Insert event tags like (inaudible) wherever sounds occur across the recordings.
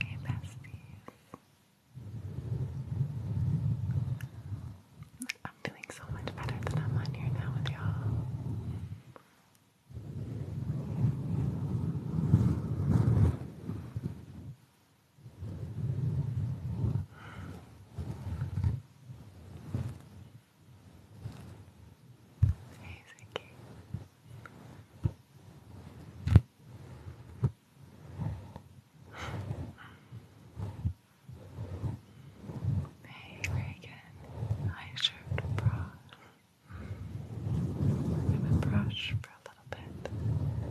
Hey besties. I'm feeling so much better than I'm on here now with y'all. Very, very good. I should brush. I'm gonna brush for a little bit. We're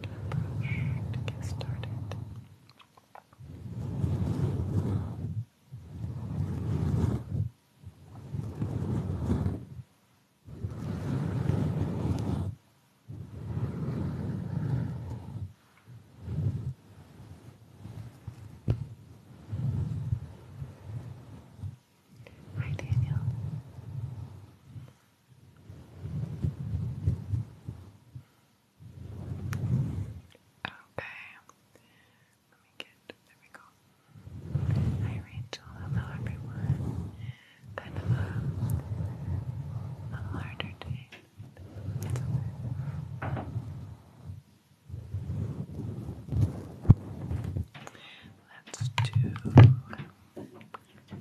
gonna brush to get started. Hi, Daniel. Okay. Let me get there we go. Hi hello everyone. Kind a harder day Let's do. I'm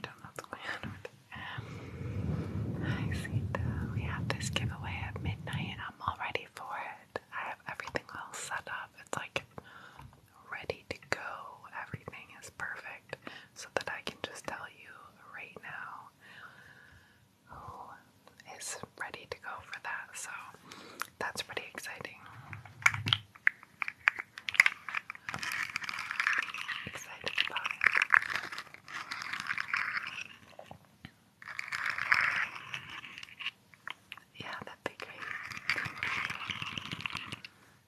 done We have this giveaway at midnight. and I'm all ready for it. I have everything all set up. It's like ready to go. Everything is perfect so that I can just tell you right now who is ready to go for that. So that's pretty exciting. Excited about it. Yeah, that'd be great.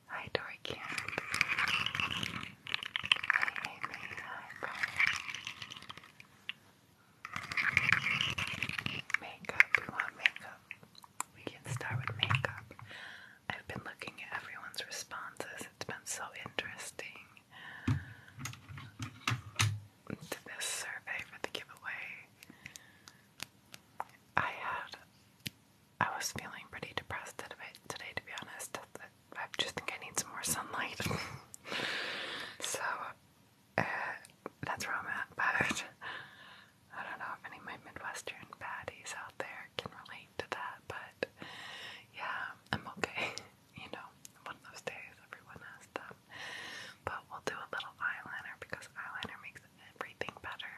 Hi, Dory Camp. Makeup, we want makeup. We can start with makeup. I've been looking at everyone's responses, it's been so interesting to this survey for the giveaway. I had, I was feeling pretty depressed today, to be honest. I just think I need some more sunlight. (laughs) so uh, that's where I'm at. But I don't know if any Midwestern baddies out there can relate to that. But yeah, I'm okay. (laughs) You know, one of those days everyone has them. But we'll do a little eyeliner because eyeliner makes everything better.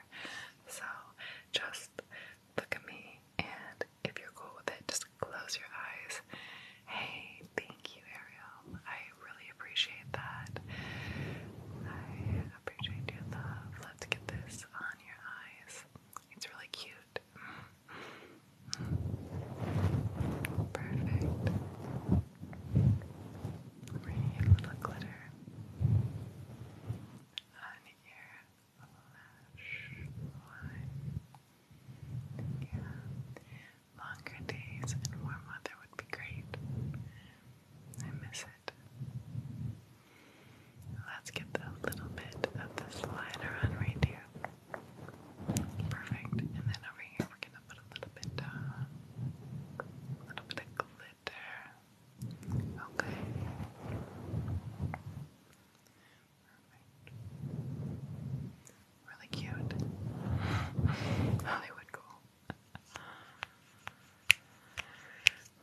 So just look at me and if you're cool with it, just close your eyes. Hey, thank you, Ariel. I really appreciate that. I appreciate your love. Love to get this on your eyes. It's really cute. Perfect. we a little glitter on your lash line. Yeah. Longer days and warm weather would be great. I miss it. Let's get a little bit of the slider on right here. Perfect. And then over here we're gonna put a little bit down. A little bit of glitter. Okay. Really cute. Hollywood goal.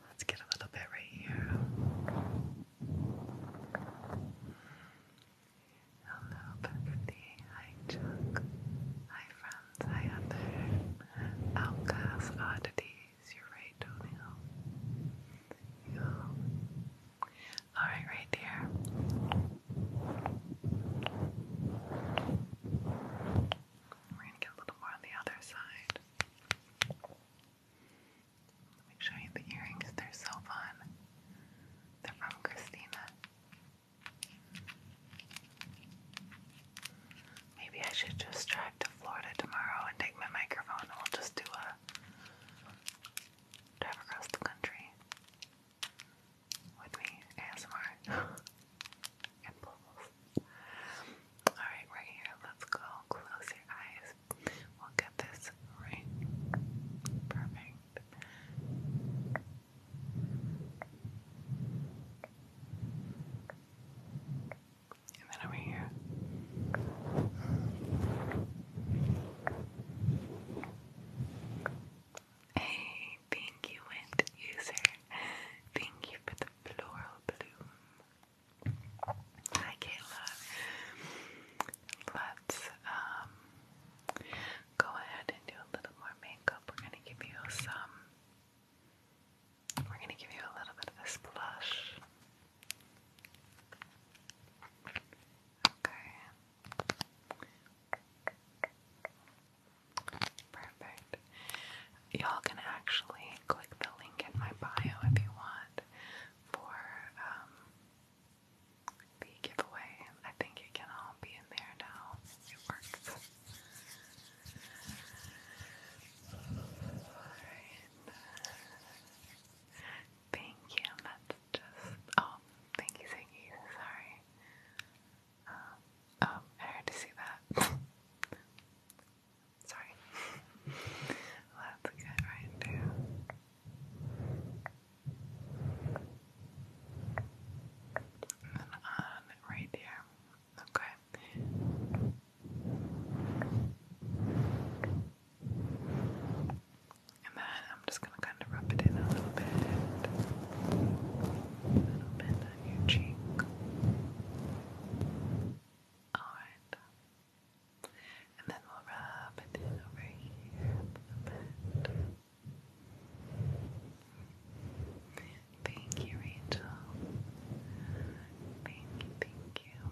Let's get a little bit right here. Hello, Bethany. Hi, Chuck. Hi, friends. Hi, Heather. Outcast Oddities. You're right, Tony. Go. All right, right there. We're going to get a little more on the other side. Let me show you the earrings. They're so fun. They're from Christina. Maybe I should just drive to Florida tomorrow and take my microphone and just do a drive across the country with me, ASMR, (laughs) and bubbles. Alright, right here, let's go. Close your eyes. We'll get this right. Perfect. And then over here. Hey, thank you, User. Thank you for the floral bloom. Hi, Kayla. Let's um go ahead and do a little more makeup. We're gonna give you some. We're gonna give you a little bit of this blush. Okay. Perfect. Y'all can actually click the link in my bio if you want for um, the giveaway. I think it can all be in there now. It works. Thank you. That's oh, thank you, thank you. Sorry, oh, I had to see that. Sorry, let's get right into. And on right here. Okay. And then I'm just gonna kind of rub it in a little bit. A little on your cheek. Alright. And then we'll rub it in over here a little bit. Thank you, Rachel. Thank you, thank you.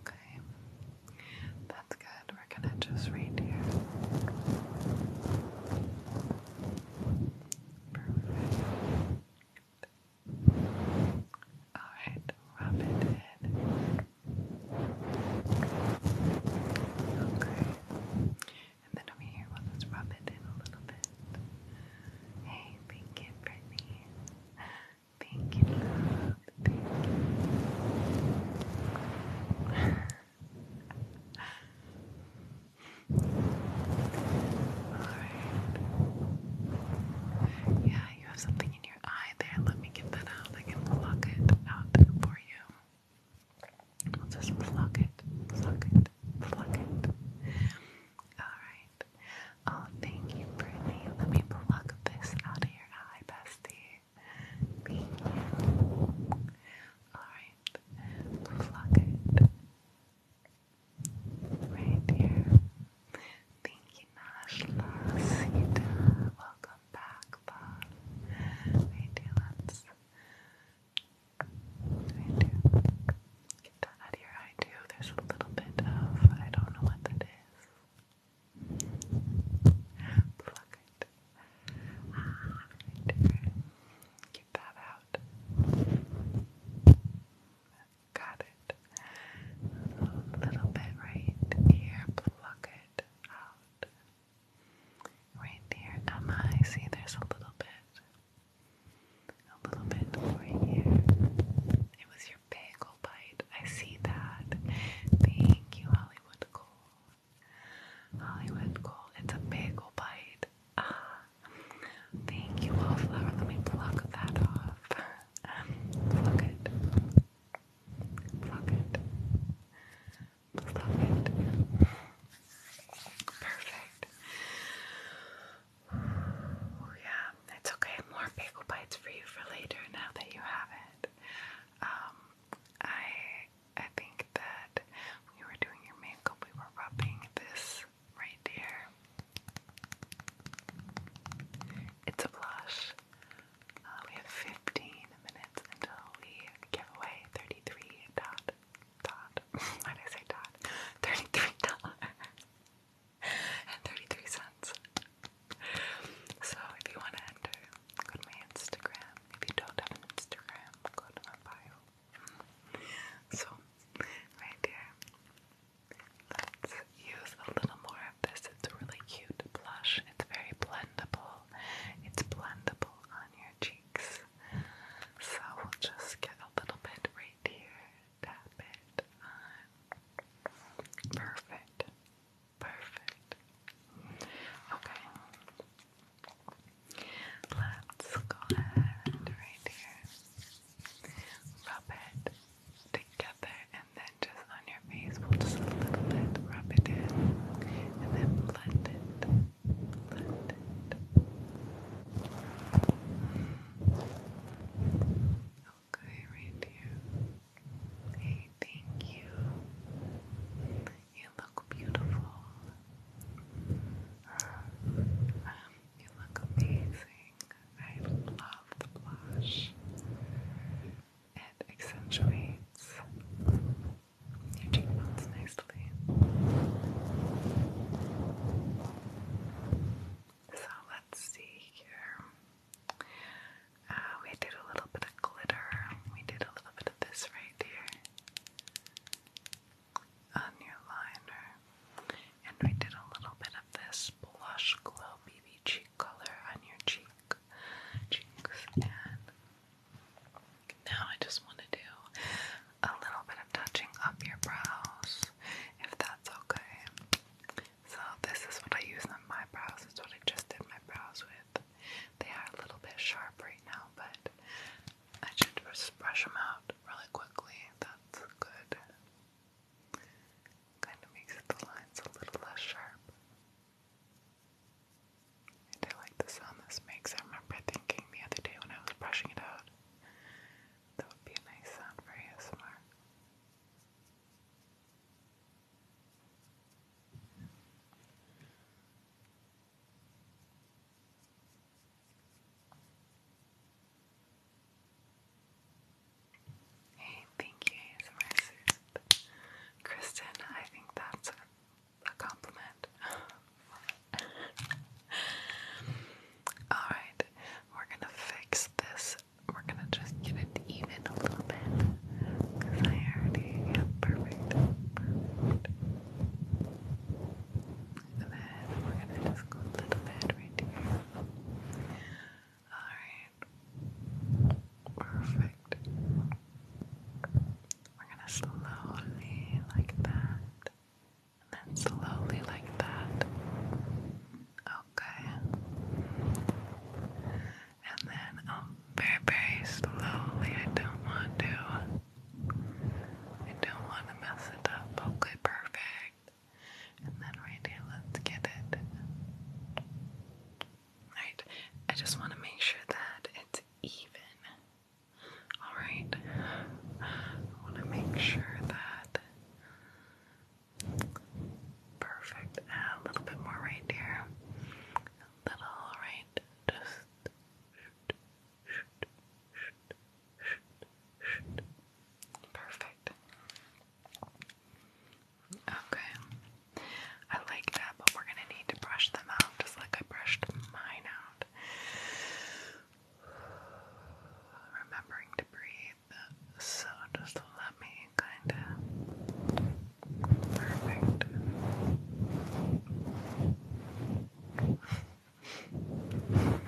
Okay, that's good. We're gonna just read here. Perfect. Alright, rub it in. Okay. And then over here, we'll just rub it in a little bit. Hey, thank you, Brittany. Thank you, Yeah, you have something in your eye there. Let me get that out. I can pluck it out for you. I'll just pluck it, pluck it, pluck it. Alright. Oh, thank you, Brittany. Let me pluck this out of your eye, bestie. Alright, pluck Right here. Thank you, Nashla. Welcome back, Bob. Right here, let's. Right here. Get that eye, too. There's a little bit of, I don't know what that is. Pluck it. Alright. Get that out. Got it. A little bit right here. Pluck it out. Right there. Emma, see there's a little bit. A little bit over here. It was bagel bite. I see that. Thank you, Hollywood Cole. Hollywood Cole, it's a bagel bite. Ah, thank you, Wallflower. Let me pluck that off. Um, it. Pluck it. Pluck it. Perfect. yeah, it's okay. More bagel bites for you for later now that you have it. Um, I I think that when you were doing your makeup, we were rubbing this right here. It's a blush. Uh, we have 15 minutes until we give away 33 dot dot. (laughs) Why did I say dot? (laughs) 33 dollars (laughs) and 33 cents. (laughs) So if you want to enter, go to my Instagram. If you don't have an Instagram, go to my bio. Mm. So right there. Let's use a little more of this. It's a really cute blush. It's very blendable. It's blendable on your cheeks. So we'll just get a little bit right here. Tap it Perfect. Perfect. Okay. Let's go ahead right here. Rub it together and then just on your face, we'll just a little bit rub it in and then blend it. Blend it okay right Hey, thank you. You look beautiful. Um, you look amazing. I love the blush. It accentuates your cheekbones nicely. So let's see here. Uh, we did a little bit of glitter. We did a little bit of this right here on your liner. And we did a little bit of this blush glow BB cheek color on your cheek, cheeks. And now I just want to do a little bit of touching up your brows, if that's okay. So this is what I use on my brows. It's what I just did my brows with. They are a little bit sharp right now, but I should just brush them out really quickly. That's good. Kind of makes the lines a little less sharp. And I like the sound this makes. I remember thinking the other day when I was brushing it out, that would be a nice sound for ASMR. Hey, thank you, ASMR Soup. Kristen, I think that's a compliment. (laughs) Alright, we're gonna fix this. We're gonna just get it even a little bit because I already perfect. then we're gonna just go a little bit right here. Alright. Perfect. We're gonna slowly like that. And then slowly like that. Okay and then um, very, very slowly. I don't want to. I don't want to mess it up. Okay, perfect. And then right here, let's get it. Alright, I just want to make sure that it's even. Alright, I want to make sure that. Perfect. Ah, a little bit more right here little, right? Just perfect. Okay, I like that, but we're gonna need to brush them out just like I brushed mine out. (sighs) Remembering to breathe, so just let me kind of perfect. Perfect. There's little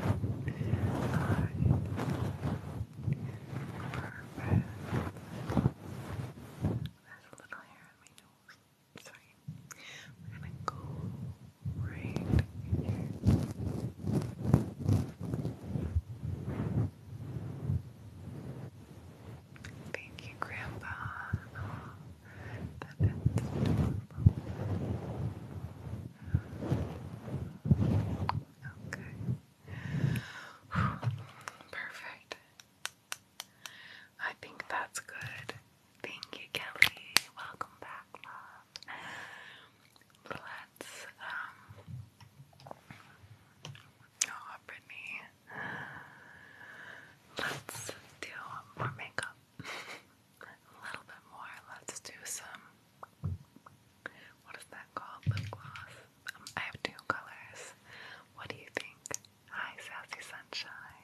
hair on my nose. Sorry. We're gonna go right in here. Thank you, Grandpa. that is adorable. Okay. Perfect. I think that's good. Thank you, Kelly. Welcome back, love. Let's um, Oh, Brittany. Let's do more makeup. (laughs) A little bit more. Let's do some. What is that called? Lip gloss. Um, I have two colors. What do you think? Hi, Sassy Sunshine.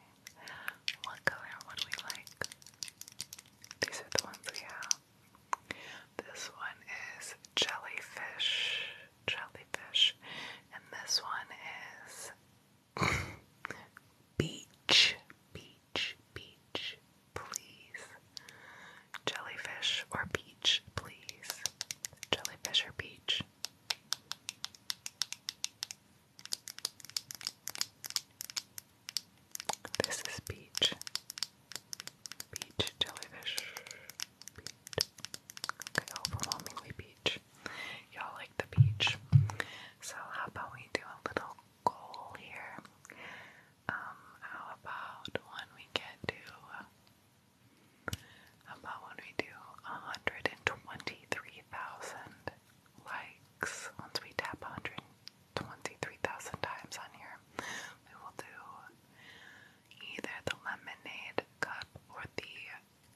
What color would we like? These are the ones we have. This one is Jellyfish jellyfish, and this one is beach, (laughs) beach, beach, please. Jellyfish or beach, please. Jellyfish or beach. This is beach. Beach jellyfish. Beach Okay, overwhelmingly beach. Y'all like the beach. So how about we do a little goal here? Um, how about when we get to about when we do 123,000 likes? Once we tap 123,000 times on here, we will do either the lemonade cup or the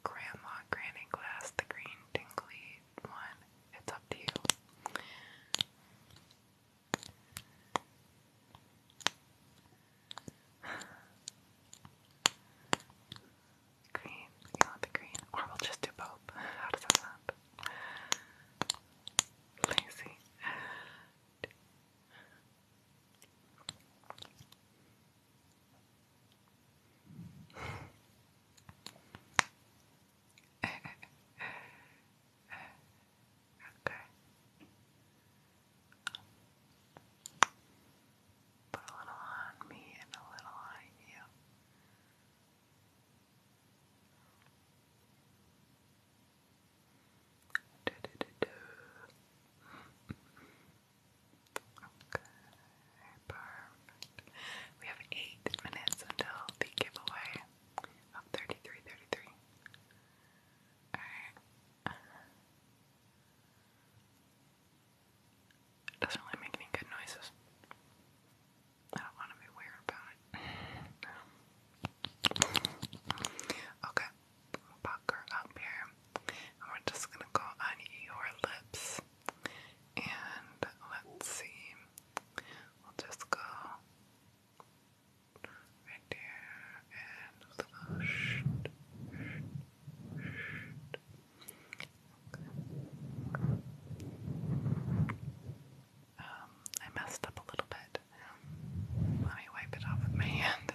Grandma Granny Glass, the green tingly one. It's up to you. Green, you want the green? Or we'll just do both. How does that sound? Lazy okay. Put a little on me and a little on you. Do, do, do, do. Okay, perfect. We have eight minutes until the giveaway of 3333. Alright. doesn't really make any good noises. I don't want to be weird about it. (laughs) Okay pucker up here. And we're just gonna go on your lips. And let's see. We'll just go right there um, I messed up a little bit. Let me wipe it off with my hand.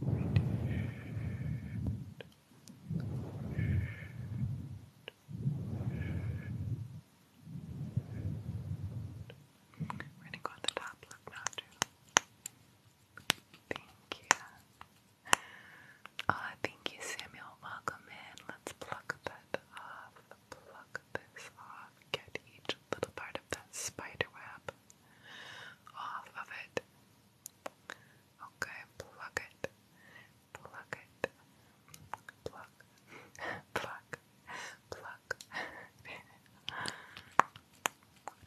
we're gonna go on the top Thank you. Oh, thank you, Samuel. Welcome in. Let's pluck that off. Pluck this off. Get each little part of that spider web off of it. Okay, pluck it, pluck it, pluck, (laughs) pluck, pluck. (laughs)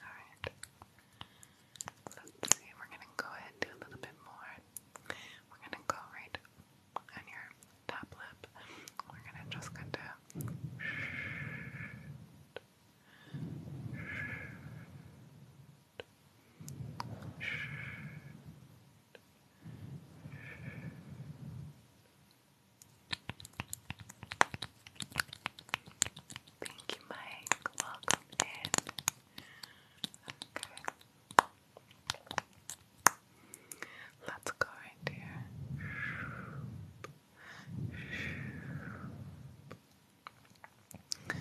Alright. let we're gonna go ahead and do a little bit more. We're gonna go right on your top lip. We're gonna just kind of Thank you, Mike. Welcome in. Okay. Let's go right here. The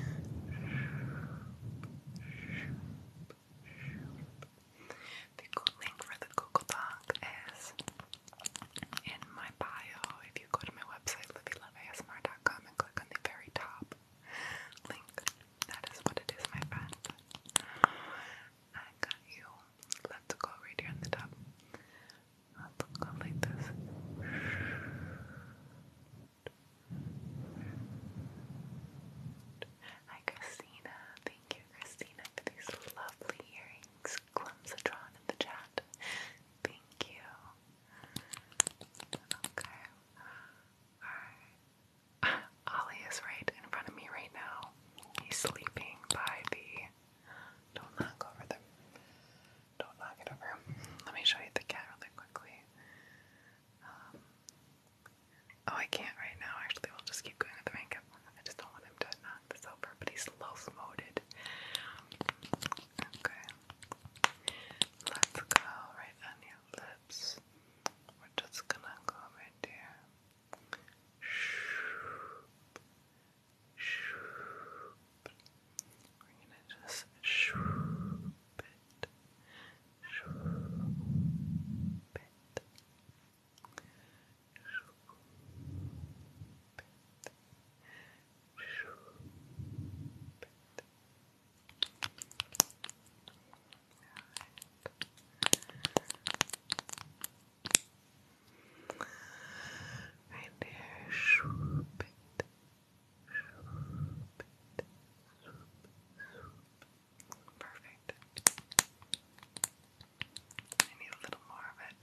link for the Google Doc is in my bio. If you go to my website, livyloveasmr.com, and click on the very top link, that is what it is, my friend. I got you. Let's go right here on the top. Let's go this. Christina. Thank you, Christina, for these lovely earrings. Clumsatron in the chat. Thank you. Okay. Alright. Ollie is right in front of me right now. He's sleeping by Don't knock over the don't knock it over. Let me show you the cat really quickly. Um, oh, I can't right now. Actually, we'll just keep going with the makeup. I just don't want him to knock this over, but he's low-moted. Okay. Let's go right on your lips. We're just gonna go right there. Shoop. Shoop. We're gonna just swoop it, swoop it, swoop it, swoop it. Right there, swoop it, Perfect. I need a little more of it.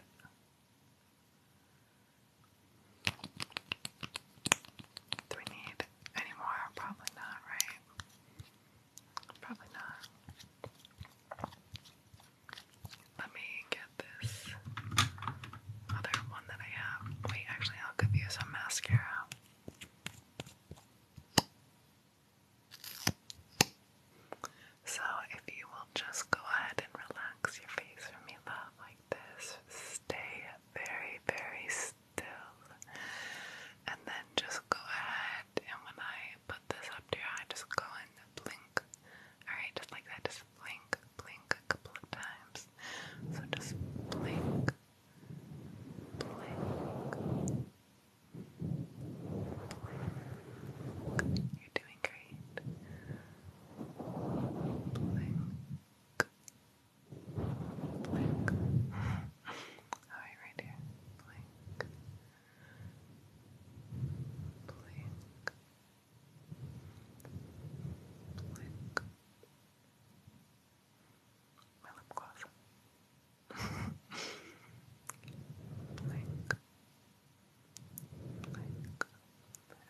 Do we need any more? Probably not, right? Probably not. Let me get this other one that I have. Wait, actually, I'll give you some mascara. So, if you will just go ahead and relax your face for me, love, like this, stay very, very still. And then just go ahead, and when I put this up to your eye, just go and blink. Alright, just like that, just just blink, blink a couple of times. So just blink, blink. You're doing great. Blink. Blink. Alright, right here. Blink. Blink. Like my lip gloss. And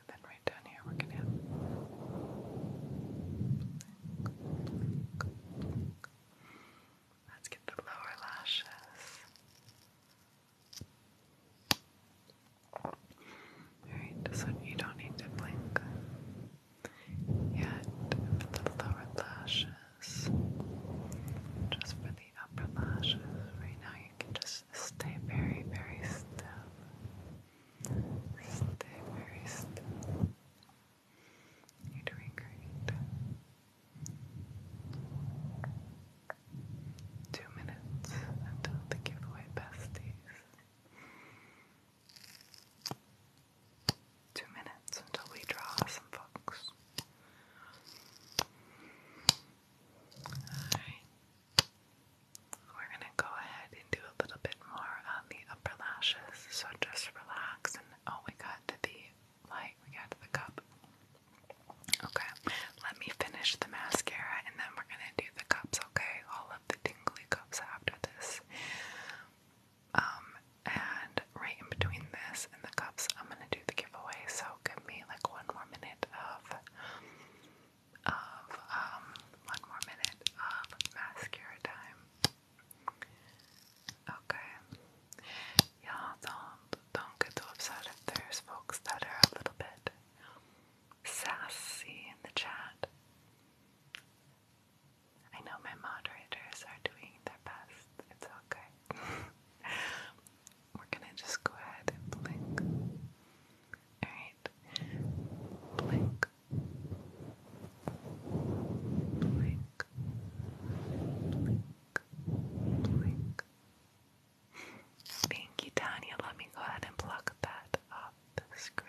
then right down here we're gonna Let's get the lower lashes. Alright, So you don't need to blink yet for the lower lashes. Just for the upper lashes. Right now you can just stay very, very still. Stay very still. You're doing great. Two minutes until the giveaway besties. Two minutes until we draw some folks. Alright. We're gonna go ahead and do a little bit more on the upper lashes, so just relax and oh we got the light, we got the cup. Okay, let me finish the mascara and then we're gonna do the cups okay, all of the tingly cups after this. Um, and right in between this and the cups, I'm gonna do the giveaway. So give me like one more minute of of um one more minute of mascara time. Okay. Y'all don't don't folks that are a little bit sassy in the chat. I know my moderators are doing their best. It's okay. (laughs) We're gonna just go ahead and blink. Alright. Blink. Blink. Blink. Blink. Thank you, Tanya. Let me go ahead and plug that off the screen.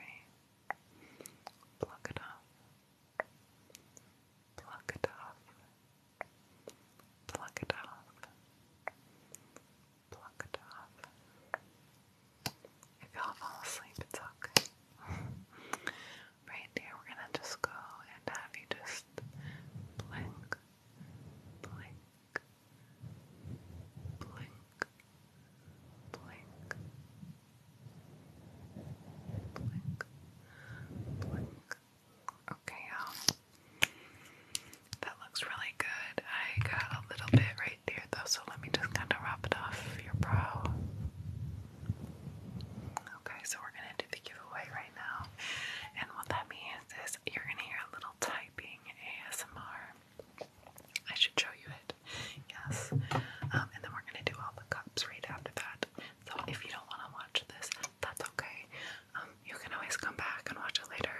Pluck it off. Pluck it off. Pluck it off. Pluck it off. If y'all fall asleep, it's okay. (laughs) right there, we're gonna just go and have you just blink, blink, blink, blink, blink, blink. Okay, y'all. That looks really good. I got a little bit right there though, so let me just kind of rub it off your brow. Okay, so we're gonna do the giveaway right now, and what that means is you're gonna hear a little typing ASMR. I should show you it. Yes. Um, and then we're gonna do all the cups right after that. So if you don't want to watch this, that's okay. Um, you can always come back and watch it later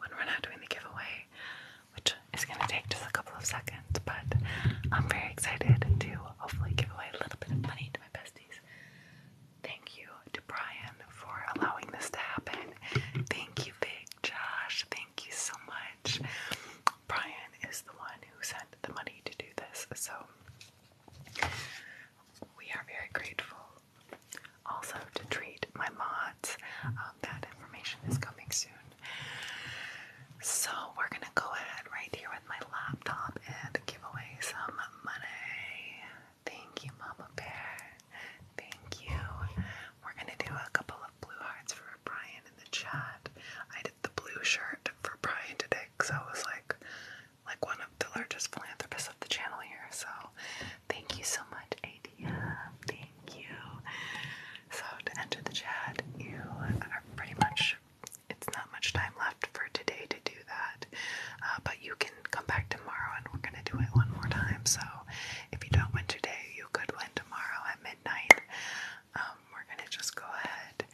when we're not doing the giveaway, which is gonna take just a couple of seconds. But I'm very excited to hopefully give away a little bit of money to my besties. Thank you to Brian for allowing this to happen. Thank you, Big Josh. Thank you so much. Brian is the one who sent the money to do this, so we are very grateful. Also, to treat my mods, um, that information is coming soon. So, we're gonna go ahead right here with my laptop and give away some money. Thank you, Mama Bear. Thank you. We're gonna do a couple of blue hearts for Brian in the chat. I did the blue shirt for Brian today because I was like, like one of the largest philanthropists of the channel here. So thank you so much, Adia. Thank you. So to enter the chat, you are pretty much. It's not much time left for today to do that, uh, but you can come back tomorrow and we're gonna do it one more time. So if you don't win today, you could win tomorrow at midnight. Um, we're gonna just go ahead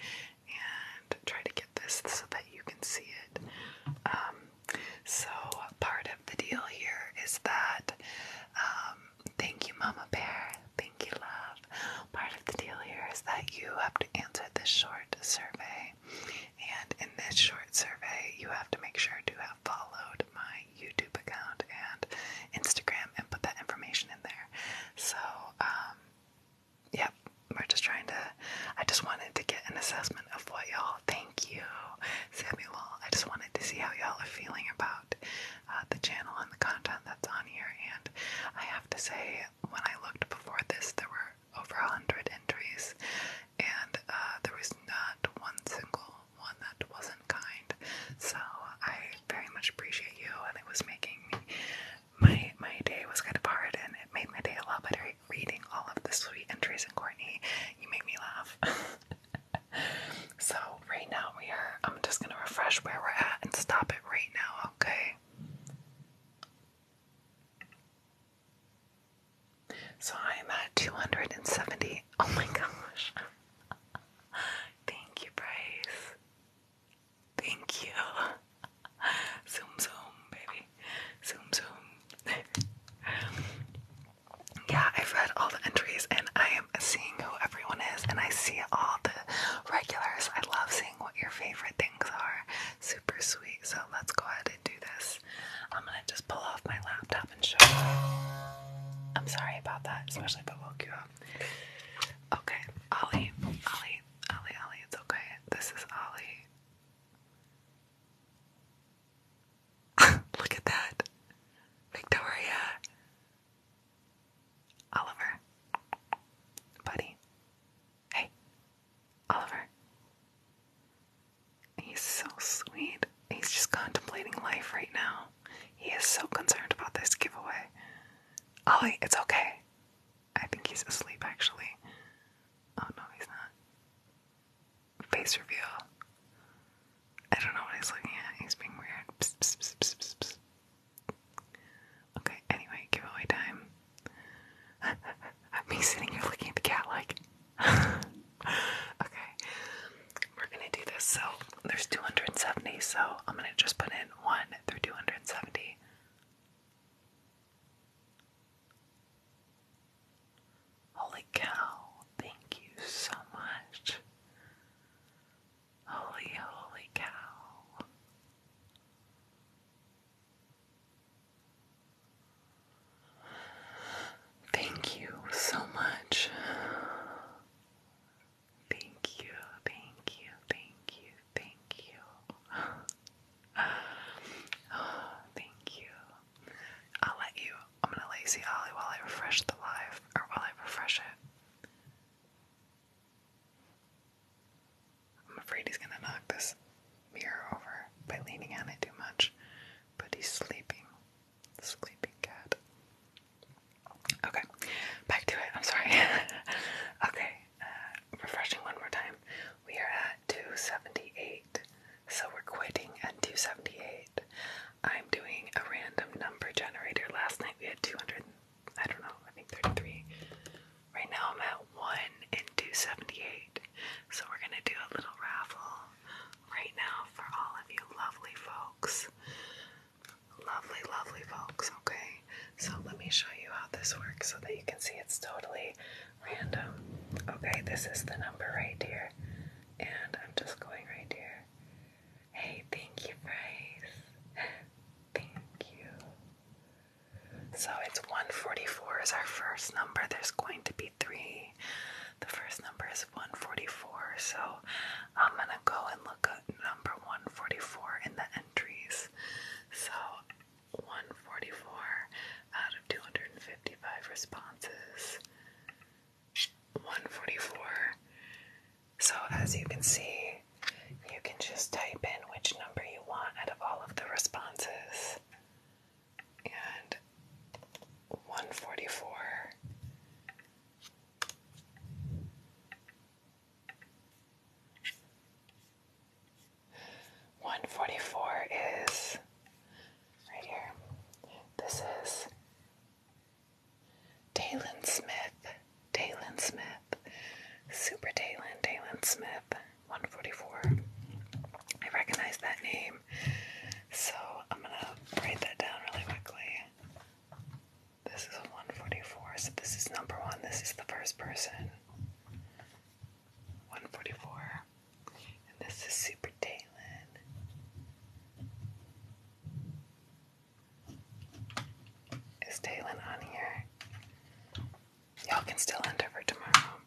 and try to get this so that you can see it. Um, so part of the deal here is that um, thank you, Mama Bear. Thank you, love. Part of the deal here is that you have to answer this short survey, and in this short survey, you have to make sure to have followed my YouTube account and Instagram and put that information in there. So, um, yep, we're just trying to, I just wanted to get an assessment of what y'all, thank you, Samuel. I just wanted to see how y'all are feeling about uh, the channel and the content that's on here. And I have to say, when I looked before this, there were over a hundred entries, and uh, there was not one single one that wasn't kind. So I very much appreciate you, and it was making me my my day was kind of hard, and it made my day a lot better. Reading all of the sweet entries in Courtney, you made me laugh. (laughs) so right now we are. I'm just gonna refresh where we're at and stop it right now. Okay. So I'm at 270. Oh my gosh. Thank you, Bryce. Thank you. zoom, zoom, baby. Zoom, zoom. yeah, I've read all the entries and I am seeing who everyone is, and I see all the regulars. I love seeing what your favorite things are. Super sweet. So let's go ahead and do this. I'm gonna just pull off my laptop and show you. I'm sorry about that, especially if it woke you up. Okay, Ollie, Ollie, Ollie, Ollie, it's okay. This is Ollie. (laughs) Look at that. Victoria. Oliver. Buddy. Hey. Oliver. He's so sweet. He's just contemplating life right now. He is so concerned about this giveaway. Ollie, it's okay. I think he's asleep actually. Oh no, he's not. Face reveal. I don't know what he's looking at. He's being weird. Psst, Okay, anyway, giveaway time. (laughs) Me sitting here looking at the cat like. (laughs) okay we're gonna do this. So there's 270, so I'm gonna just put in 1 through 270. Holy cow, thank you so much. Holy, holy cow. Thank you so much. Thank you, thank you, thank you, thank you. (sighs) (sighs) thank you. I'll let you. I'm gonna lazy Holly while I refresh the live, or while I refresh it. I'm afraid he's gonna knock this mirror over by leaning on it too much, but he's sleeping. sleeping cat. Okay, back to it. I'm sorry. (laughs) okay, uh, refreshing one more time. We are at 278, so we're quitting at 278. I'm doing a random number generator. Last night we had 200, I don't know, I think 33. Right now I'm at 1 and 278. So we're going to do a little raffle right now for all of you lovely folks. Lovely, lovely folks, okay? So let me show you how this works so that you can see it's totally random. Okay, this is the number right here. And I'm just going right here. Hey, thank you, Bryce. (laughs) thank you. So it's 144 is our first number. There's going to be three. The first number is 144. So I'm gonna go and look at number 144 in the entries. So 144 out of 255 responses. 144. So as you can see, you can just type in which number you want out of all of the responses. And 144 one forty four is right here. This is Taylon Smith. Taylon Smith. Super Taylon. Taylon Smith. One forty four. I recognize that name. So I'm gonna write that down really quickly. This is 144, so this is number one. This is the first person. 144. And this is Super Talon. Is Talon on here? Y'all can still end over tomorrow.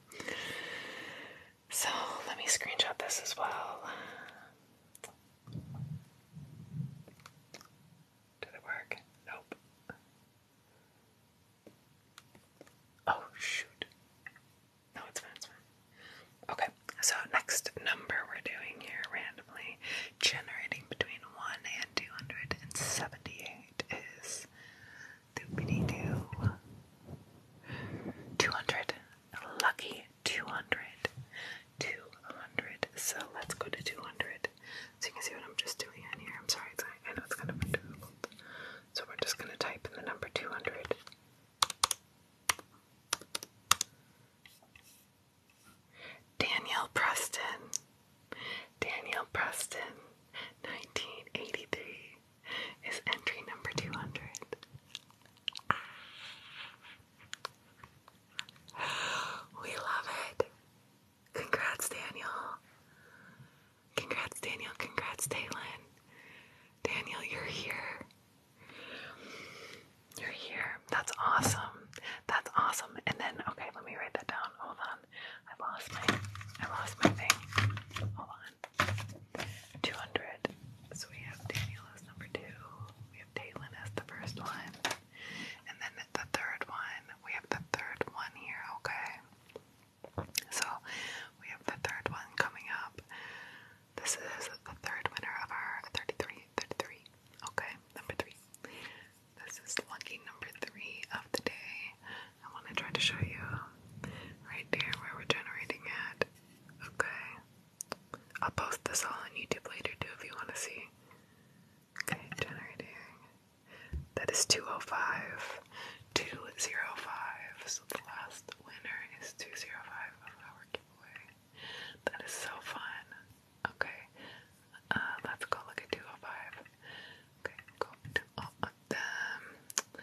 So let me screenshot this as well. Did it work? Nope. Oh shoot. No, it's fine, it's fine. Okay, so next number we're doing here randomly, generating between 1 and 278 is doopity doo. 200. Lucky 200. 200. So let's go to 200. So you can see what I'm just doing in here. I'm sorry, it's, I know it's kind of difficult. So we're just going to type in the number 200. Danielle Preston. Danielle Preston, 1983, is entry number 200. We love it. Congrats, Daniel. Congrats, Daniel. Congrats, Taylin. Daniel, you're here. You're here. That's awesome. That's awesome. And then, okay, let me write that down. Hold on. I lost my, I lost my thing. Hold on. 200. So we have Daniel as number two. We have Taylin as the first one. And then the third one, we have the third one here, okay? So we have the third one coming up. This is the third winner of our 33, 33, okay? Number three. This is lucky number three of the day. I want to try to show you right there where we're generating at, okay? I'll post this all on YouTube later too if you want to see. Okay, generating. That is 205. 205. So the last winner is 205 of our giveaway. That is so fun. Okay. Uh, let's go look at 205. Okay, go to them.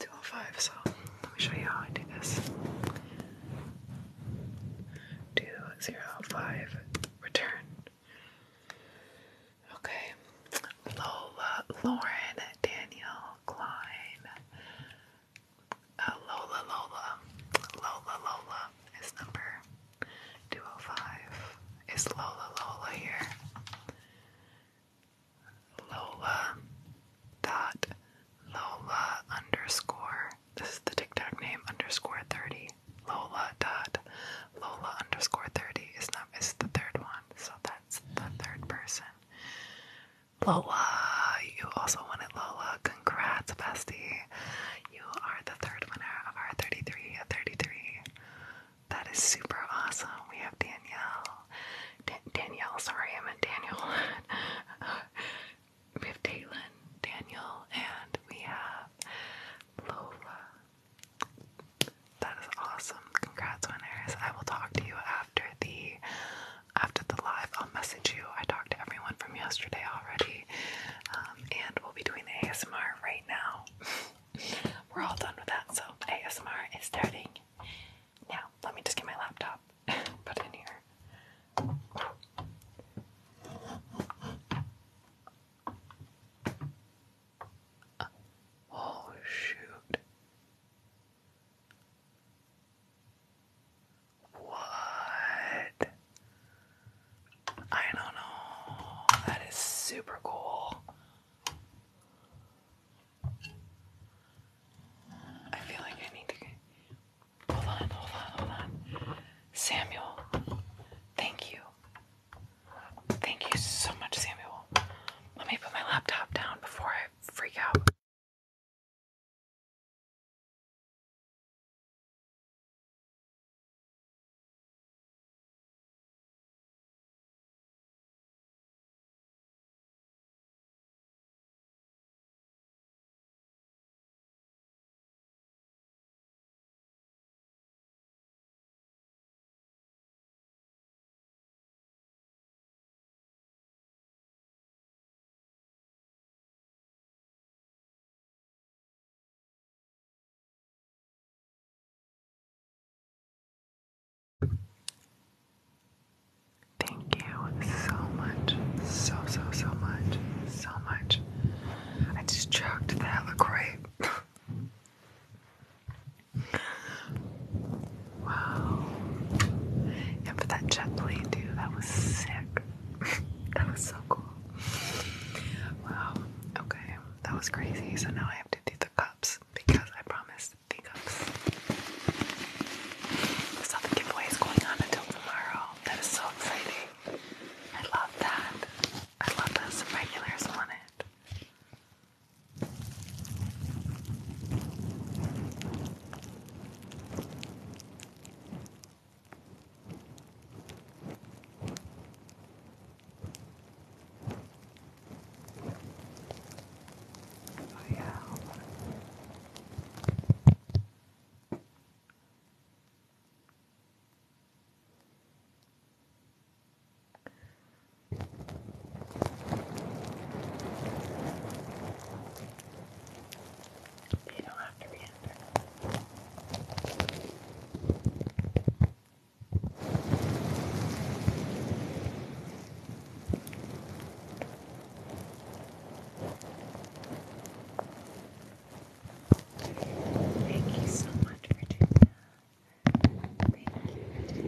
205. So let me show you how I do this. 205 return. Okay. Lola, Lauren, Daniel, Klein. Uh, Lola, Lola. Lola, Lola is number 205. Is Lola, Lola here? Lola dot Lola underscore. This is the TikTok name underscore 30. Lola dot Lola underscore thirty is not is the third one, so that's the third person. Lola, you also won it, Lola. Congrats, bestie. You are the third winner of our 33 33. That is super awesome. We have Danielle. Danielle, sorry, I meant Daniel. (laughs) we have Datelyn, Daniel, and we have Lola. That is awesome. Congrats, on winners. I will talk to you after the after the live. I'll message you. I talked to everyone from yesterday already. Um, and we'll be doing the ASMR right now. (laughs) We're all done with that, so ASMR is starting. Now, let me just get my laptop, put it in here. Oh, shoot. What? I don't know. That is super cool. I feel like I need to Hold on, hold on, hold on. Samuel, thank you. Thank you so much, Samuel. Let me put my laptop down before I freak out. Thank you so much, so, so, so much, so much I just chugged the hella grape. wow. And for that jet plane, dude, that was sick. (laughs) that was so cool. Wow. Okay. That was crazy. So now I have to do the cups because I promised the cups. So the giveaway is going on until tomorrow. That is so exciting. I love that. I love that some regulars want it. yeah. You don't have to re enter. Thank you so much, Virginia. Thank you,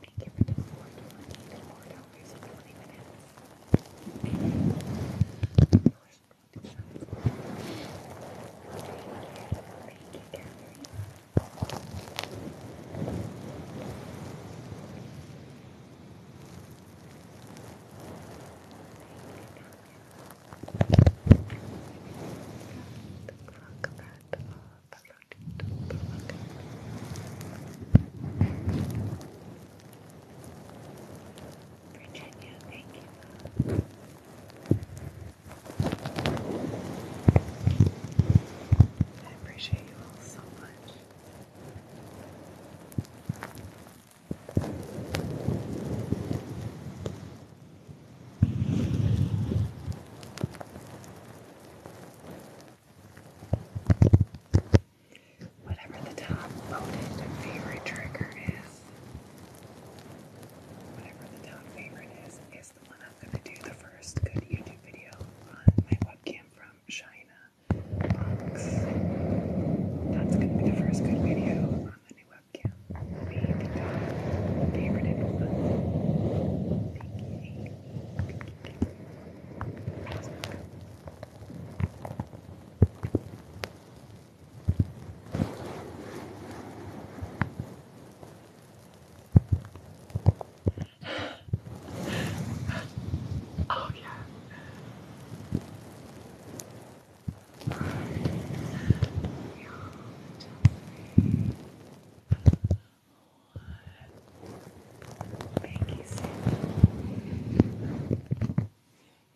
Thank you for the four twenty four dollars and twenty minutes. Thank you, Catherine. Thank you, Catherine. Virginia, thank you. I appreciate you all so much. Whatever the top voted favorite trigger is, whatever the top favorite is, is the one I'm going to do the first good YouTube video on my webcam from China box. That's going to be the first good video on off any webcam. We can talk favorite influence. Thank you, Oh yeah. Thank you, Sam.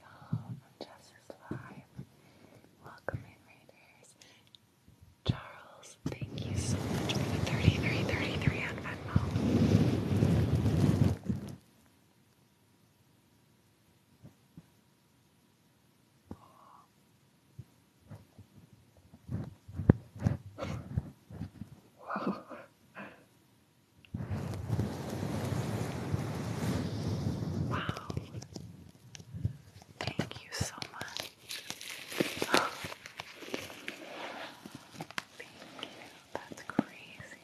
Y'all from Justice Live. Welcome in, Raiders. Charles, thank you so much for the 33, 33 on Venmo. Wow. Thank you so much. That's crazy.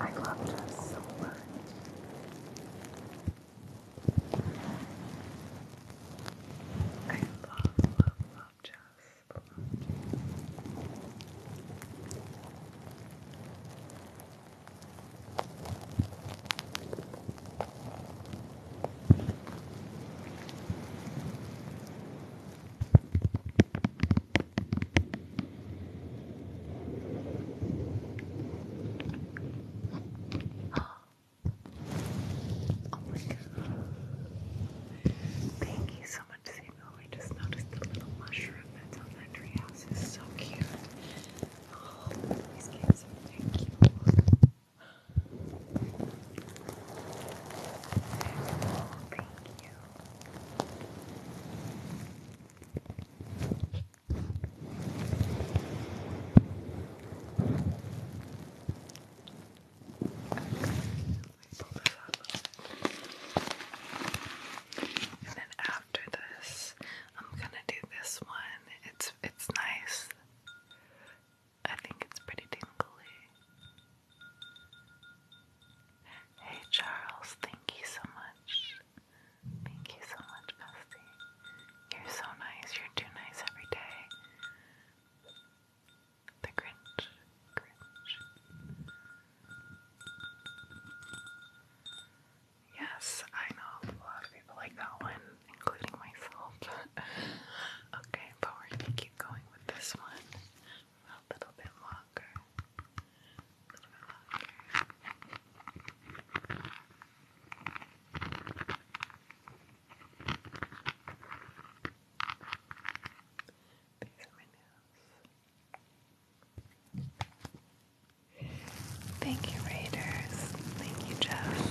I love you so much. I love, love, love Jess. Oh my god. Thank you so much, Samuel. I just noticed the little mushroom that's on that treehouse is so cute. Oh, these kids are really cute. Thank you. And then after this, I'm gonna do this one. It's it's nice. I think it's pretty tingly. Hey Charles, thank you so much. Thank you so much, Bestie. You're so nice. You're too nice every day. The Grinch. Grinch. Yes, I know a lot of people like that one including myself. (laughs) okay, but we're gonna keep going with this one a little bit longer. Thank you, Raiders. Thank you, Jeff.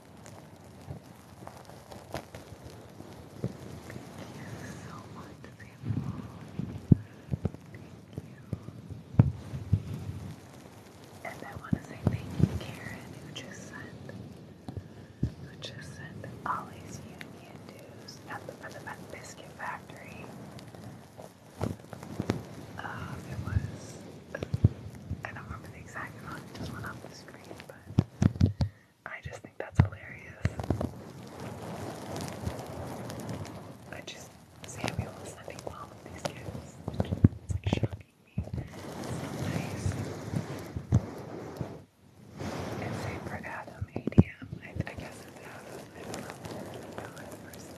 Thank you so much, people. Thank you. And I want to say thank you, Karen, who just sent, who just sent Ollie's Union dues at the, Biscuit Factory. it was, I don't remember the exact amount, it just went off the screen, but I just think that's hilarious. I just Samuel is sending all of these gifts. It's like shocking me. nice. And same for Adam I, guess I don't know. I don't the person.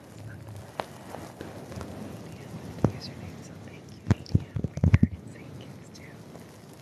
ADM. Username. So thank you ADM for your insane gifts too.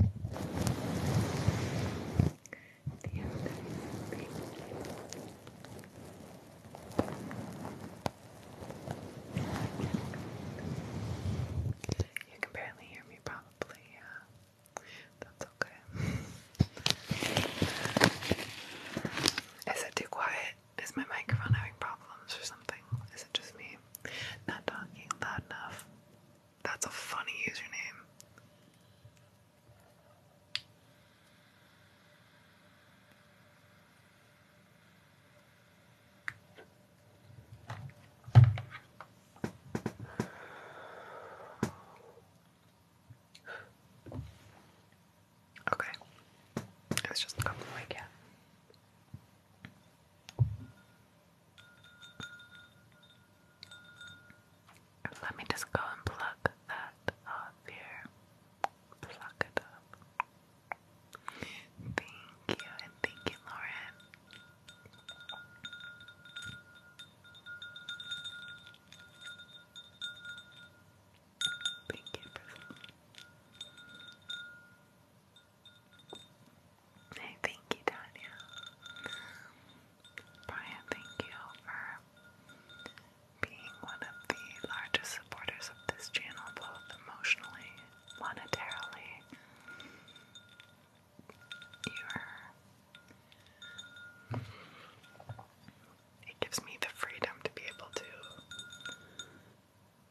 You can barely hear me, probably. Yeah, that's okay. Is it too quiet? Is my microphone having problems or something? Is it just me not talking loud enough? That's a funny username. Okay. It's just a couple of my let me just go and pluck that up here. Pluck it up. Thank you, and thank you, Lauren. Thank you, Hey, thank you, Tanya. Brian, thank you for being one of the largest supporters of this channel, both emotionally, monetarily. You're. It gives me the freedom to be able to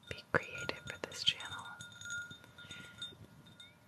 be creative for this channel.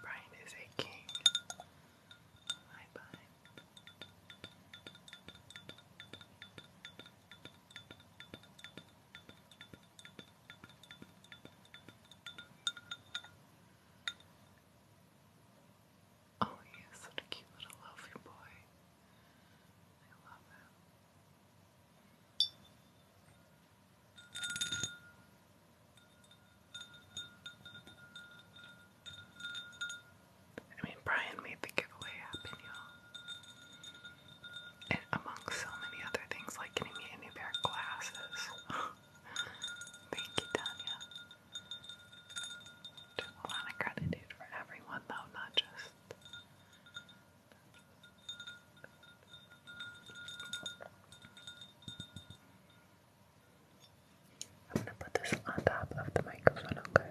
Brian is a king. Hi, Brian. Oh, he is such a cute little loafy boy. I love him. I mean, Brian made the giveaway happen, y'all. And among so many other things, like getting me new pair of glasses. (laughs) Thank you, Tanya. Just a gratitude for everyone, though, not just. I'm gonna put this on top of the microphone, okay?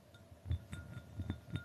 Blowing my hair.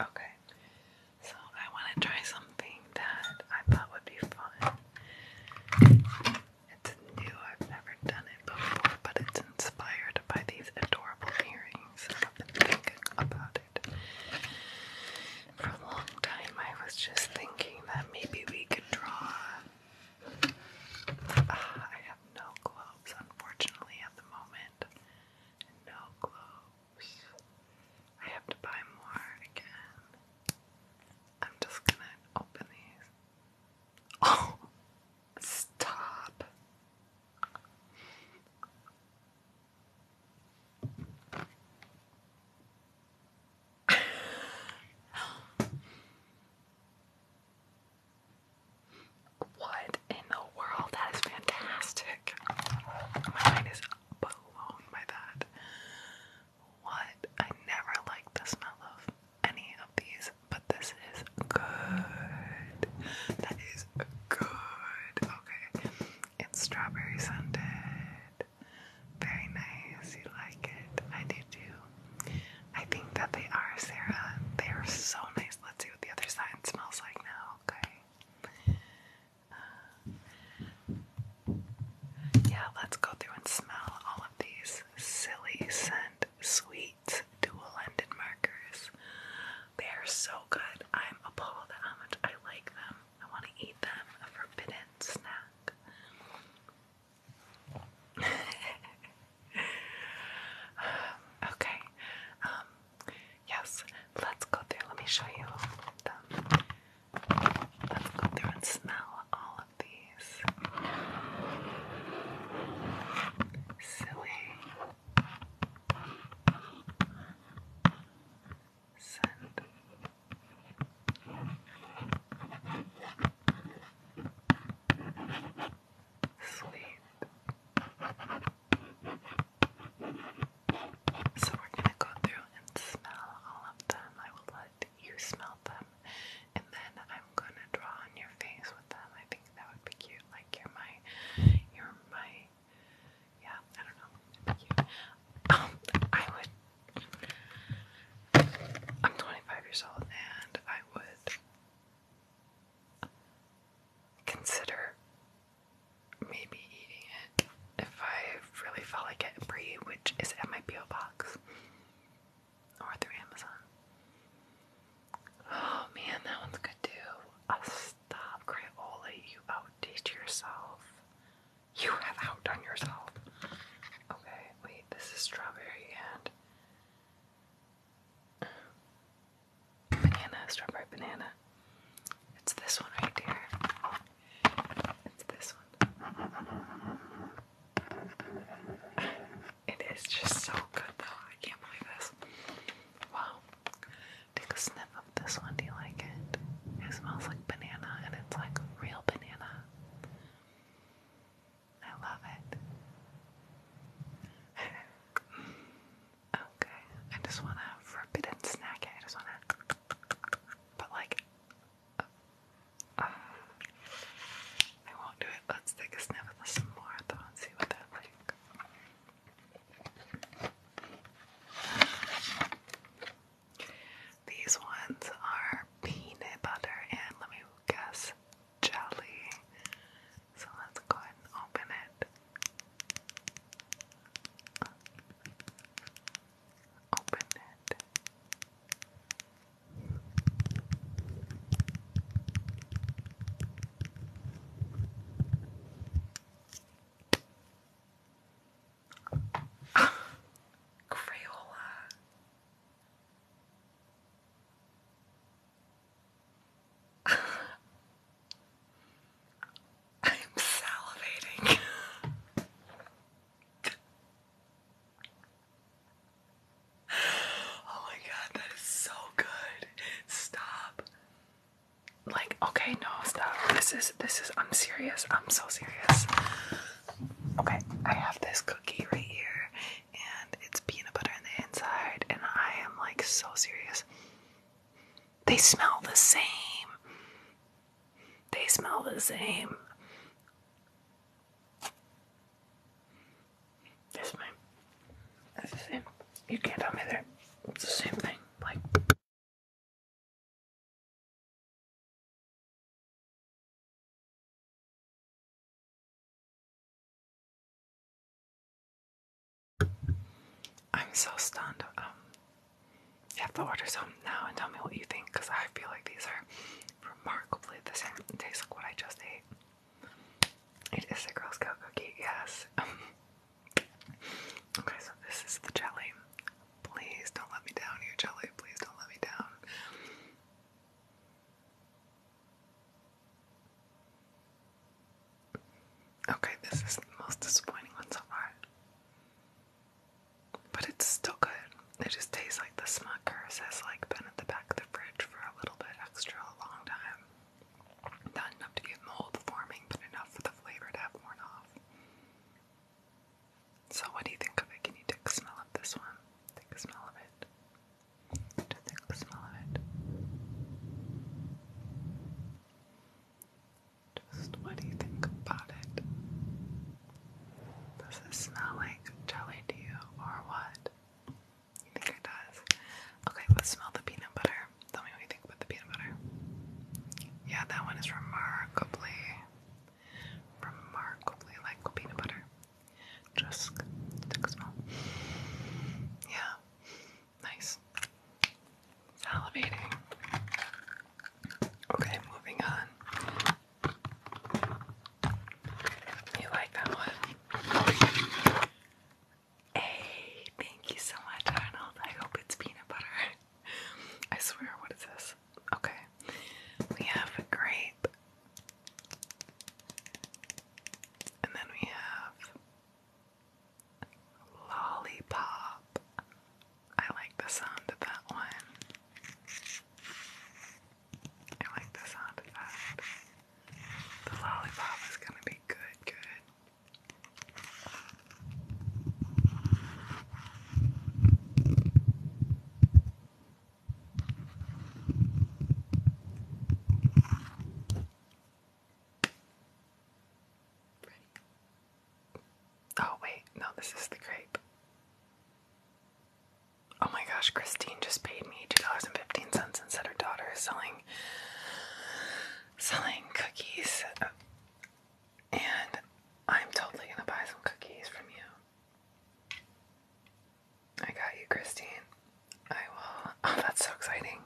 Okay, so I want to try something that I thought would be fun. It's new, I've never done it before, but it's inspired by these adorable earrings. I've been thinking about for a long time, I was just thinking that maybe we could draw. Ah, I have no globes, unfortunately, at the moment. No globes. I have to buy more again. I'm just gonna open these. Oh! Stop! (laughs) What in the world? That is fantastic. My mind is blown by that. What? I never liked the smell of any of these, but this is good. That is good. Okay. It's strawberry scented. Very nice. You like it? I do too. I think that they are, Sarah. They are so nice. Let's see what the other side smells like now, okay? Uh, yeah, let's go through and smell all of these silly scent sweet dual-ended markers. They are so good. I'm appalled at how much I like them. I want to eat them. A forbidden snack. (laughs) okay. Um, yes. Let's go through. Let me show you them. Let's go through and smell all of these. Silly. Sleep. So we're going to go through and smell all of them. I will let you smell them and then I'm going to draw on your face with them. I think that would be cute. Like you're my you're my yeah, I don't know. Thank you. Um, I would. I'm 25 years old, and I would consider maybe eating it if I really felt like it. Brie, which is at my PO box or through Amazon. Oh man, that one's good too. Stop, Crayola. You outdate yourself. You have outdone yourself. Okay, wait, this is strawberry and banana, strawberry banana. It's this one right here. It's this one. It is just so good though. I can't believe this. Wow. Take a sniff of this one. Do you like it? It smells like banana and it's like real banana. I love it. (laughs) okay, I just want to forbidden snack it. I just want to, but like, uh, I won't do it. Let's take a sniff of some more though and see what that like. These ones are peanut butter and let me guess jelly. So let's go ahead and open it. Open it. Crayola. (laughs) I'm salivating. (laughs) oh my god, that is so good. Stop like okay no stop this is this is i'm serious i'm so serious okay i have this cookie right here and it's peanut butter on the inside and i am like so serious they smell the same they smell the same this one that's same you can't tell me there it's the same thing like I'm so stunned. you um, have to order some now and tell me what you think because I feel like these are remarkably the same. It tastes like what I just ate. It is a Girl Scout cookie, yes. (laughs) Okay, so this is the jelly. Please don't let me down here, jelly. Please don't let me down. Okay, this is the most disappointing one so far. But it's still good. It just tastes like the Smuckers has like been at the back of the fridge for a little bit extra a long time. Not enough to get mold forming, but enough for the flavor to have worn off. So, what do you think of it? Can you take a smell of this one? Take a smell of it. Just smell of it. Just what do you think about it? Does it smell like jelly to you, or what? You think it does? Okay, let's smell the peanut butter. Tell me what you think think the peanut butter. Yeah, that one is remarkably, remarkably like peanut butter. Just take a smell. Yeah, nice. Salivating. Okay, moving on. You like that one? Hey, thank you so much, Arnold. I hope it's peanut butter. (laughs) (laughs) I swear, what is this? Okay. We have a grape. And then we have lollipop. I like the sound of that one. I like the sound of that. The lollipop is gonna be good, good. Oh, wait, no, this is the grape. Oh my gosh, Christine just paid me $2.15 and said her daughter is selling selling cookies and I'm totally gonna buy some cookies from you. I got you, Christine. I will. (laughs) Oh, that's so exciting.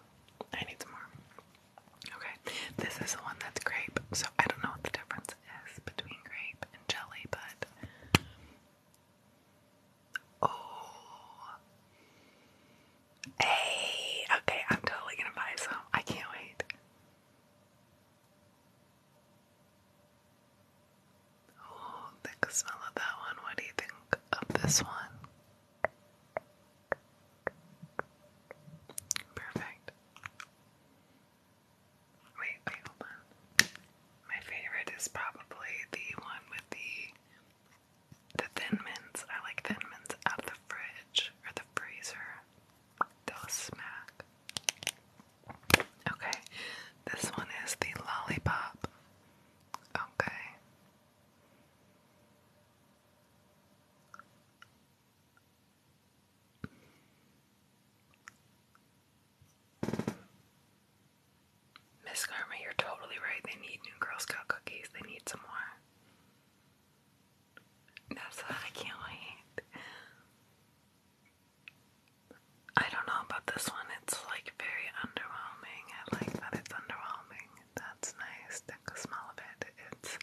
I need some more. Okay, this is the one that's grape, so I don't know what the difference is between grape and jelly, but. Oh. Hey, okay, I'm totally gonna buy some. I can't wait. Oh, the smell of that one. What do you think of this one? Perfect. Wait, wait, hold on. My favorite is probably the one with the the thin mints. I like thin mints out of the fridge or the freezer. They'll smack. Okay, this one is the lollipop. Okay. Miss Karma, you're totally right. They need new Girl Scout cookies. They need some more. That's what I can't wait. I don't know about this one. It's like very underwhelming. I like that it's underwhelming. That's nice. The smell of it. It's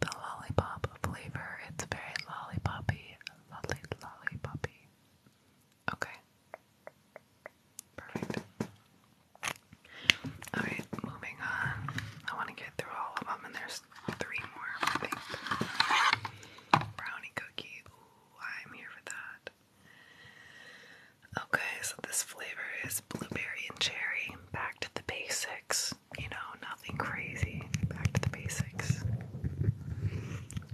the lollipop flavor. It's very lollipoppy. Lovely lollipoppy. Okay. Perfect. Alright, moving on. I want to get through all of them and there's three more, Brownie cookie. I'm here for that. Okay, so this flavor is blueberry and cherry. Back to the basics. You know, nothing crazy. Back to the basics.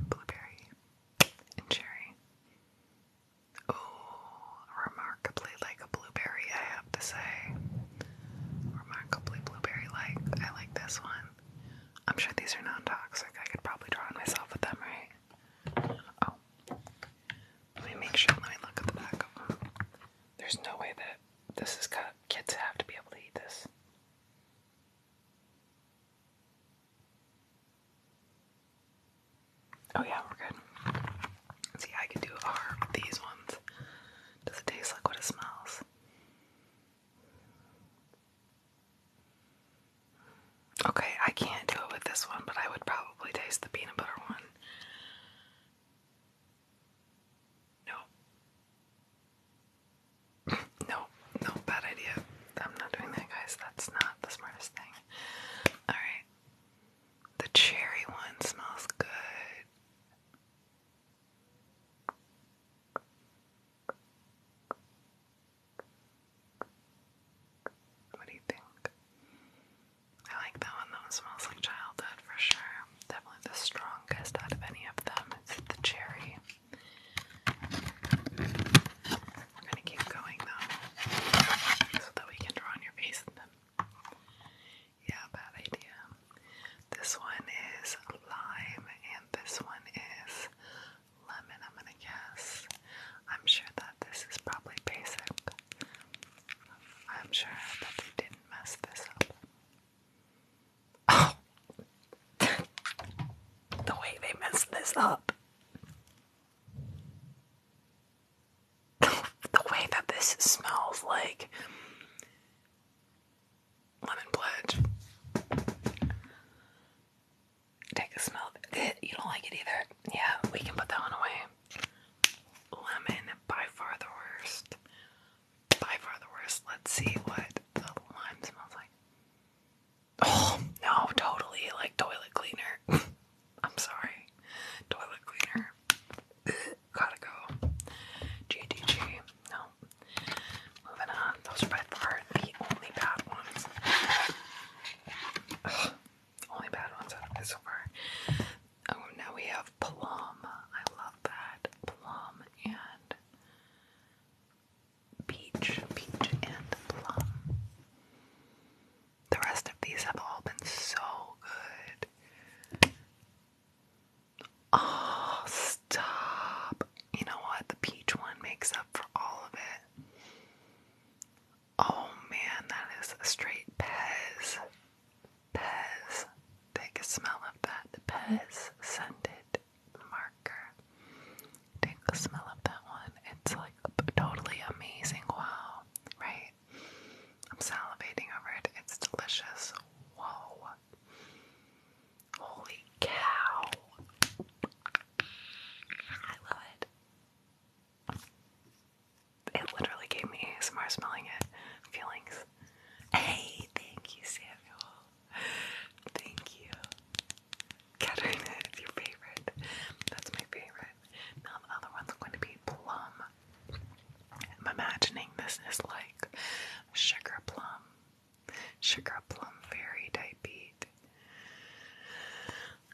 Blueberry and cherry. Oh, remarkably like a blueberry, I have to say remarkably blueberry-like. I like this one. I'm sure these are non-toxic. I could probably draw on myself with them, right? Oh, let me make sure. Let me look at the back There's no way that this is cut. Kids have to be able to eat this. Oh yeah, we're good. See, I could do a with these ones. Does it taste like what it smells? Okay, I can't do it with this one, but I would probably taste the peanut butter one. No. (laughs) no, no, bad idea. I'm not doing that, guys. That's not the smartest thing. Alright. The cherry one smells good. What do you think? I like that one. That one smells like childhood for sure. Definitely the strongest out of any of them. It's the cherry. We're gonna keep going though, so that we can draw on your face and then yeah, bad idea. This one is lime and this one is lemon, I'm gonna guess. I'm sure that this is probably basic. I'm sure that they didn't mess this up. Oh! (laughs) the way they messed this up! (laughs) the way that this smells like lemon pledge. Take a smell. You don't like it either. Yeah, we can put that one away. Lemon, by far the worst. By far the worst. Let's see what the lime smells like. Oh, no, totally like toilet cleaner. (laughs) I'm sorry. Toilet cleaner. Gotta go. GDG. No. Moving on. Those are by far the only bad ones. Only bad ones so far. Oh, now we have plum. I love that. Plum and peach. Peach and plum. The rest of these have all been so good. Oh, stop. You know what? The peach one makes up for all of it. Oh man, that is a straight Pez. Pez. Take a smell of that Pez scented marker. Take a smell of that one. It's like totally amazing. Wow. Right? I'm salivating over it. It's delicious. Whoa. Holy cow. I love it. It literally gave me ASMR smelling it feelings. Hey, thank you, Samuel. Thank you. Katerina (laughs) your favorite. That's my favorite. Now the other one's going to be plum. I'm imagining this is like sugar plum sugar plum fairy type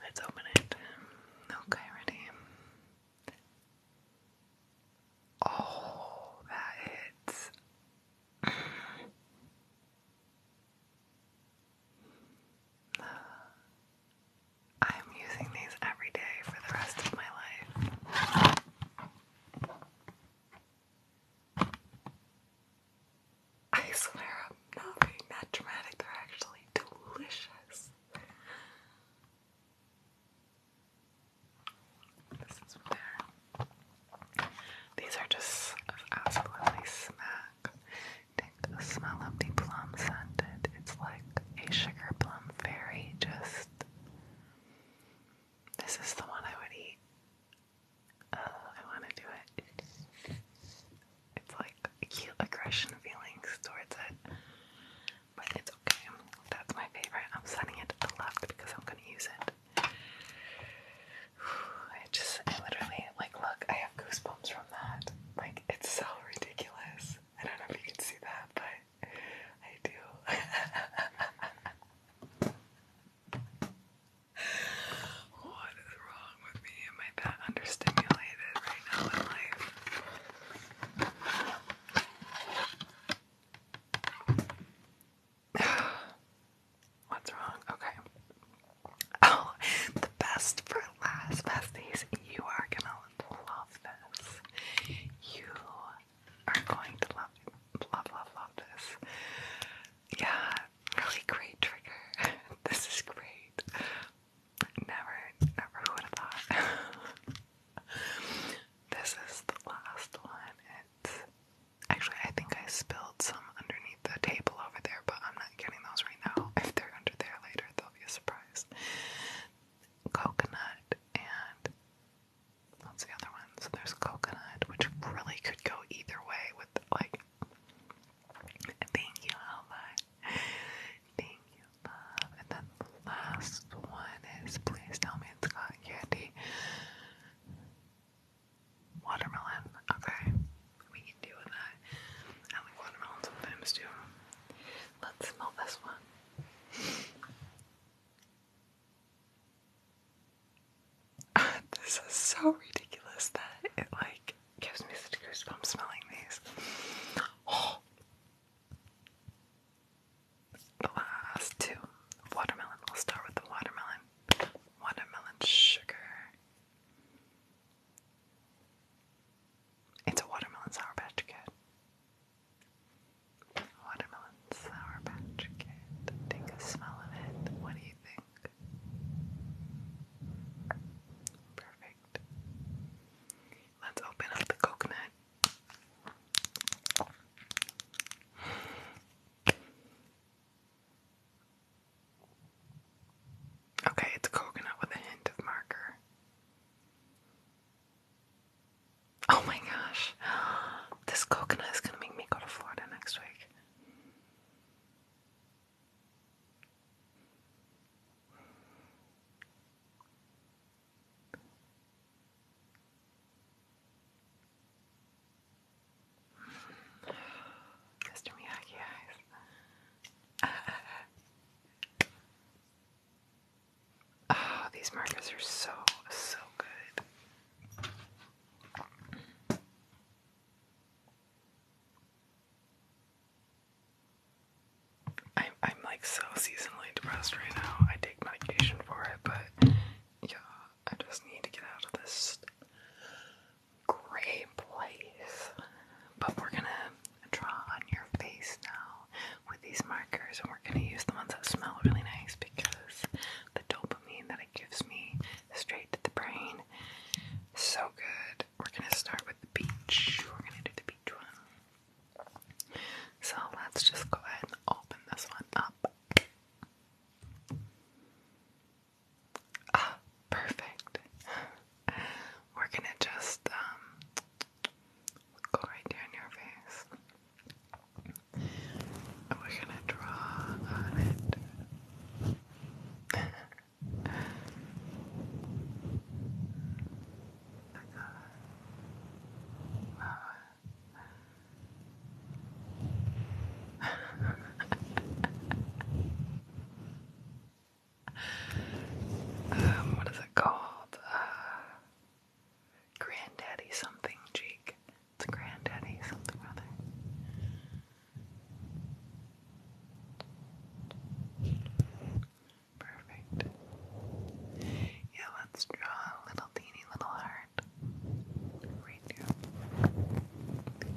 Let's open it. Okay, ready? Oh, that hits. I (sighs) am using these every day for the rest of my life. I swear I'm not being that dramatic, they're actually delicious. This is where these are just absolutely smack. Take a smell of the plum scented. It's like a sugar plum fairy, just this is the one I would eat. Uh, I want to do it. It's like cute aggression feelings towards it. But it's okay. That's my favorite. I'm setting it to the left because I'm gonna use it. (sighs) I just I literally like look, I have goosebumps from that. Like it's so ridiculous. I don't know if you can see that, but I do. (laughs) What is wrong with me? Am I that understimulated right now in life? (sighs) What's wrong? Okay. Oh, the best for last besties. You are gonna love this. You are going to love, love, love, love this. Yeah, really great trigger. (laughs) this is great. Never, never would have thought. (laughs) this is the last one. It's actually, I think I spilled some underneath the table over there, but I'm not getting those right now. (laughs) If they're under there later, they'll be a surprise. Coconut and that's the other one. So there's coconut, which really could go either way with like thank you, Alva. Thank you, love. And then the last one is please tell me it's got candy. Watermelon. Okay. We can do with that. I like watermelon sometimes too. Let's smell this one. (laughs) this is so ridiculous that it like gives me such goosebumps smelling these. (gasps) The last two. Watermelon. We'll start with the watermelon. Watermelon sugar. It's a watermelon sour patch kid. Watermelon Sour Patch Kid. Take a smell of it. What do you think? Perfect. Let's open up the coconut. Okay, it's coconut with a hint of marker. Oh my gosh. (gasps) This coconut is going to make me go to Florida next week. (sighs) Mr. Miyagi eyes. (laughs) Oh, these markers are so, so good. I'm, like so seasonally depressed right now. I take medication for it, but yeah, I just need to get out of this gray place. But we're gonna draw on your face now with these markers, and we're gonna use the ones that smell really nice because dopamine that it gives me straight to the brain. So good. We're gonna start with the beach. We're gonna do the beach one. So let's just go ahead and open this one up. Ah, perfect. We're gonna just um, go right down your face we're gonna draw on it. (laughs) Um, what is it called? Uh, Granddaddy something cheek. It's granddaddy something rather. Perfect. Yeah, let's draw a little teeny little heart. Right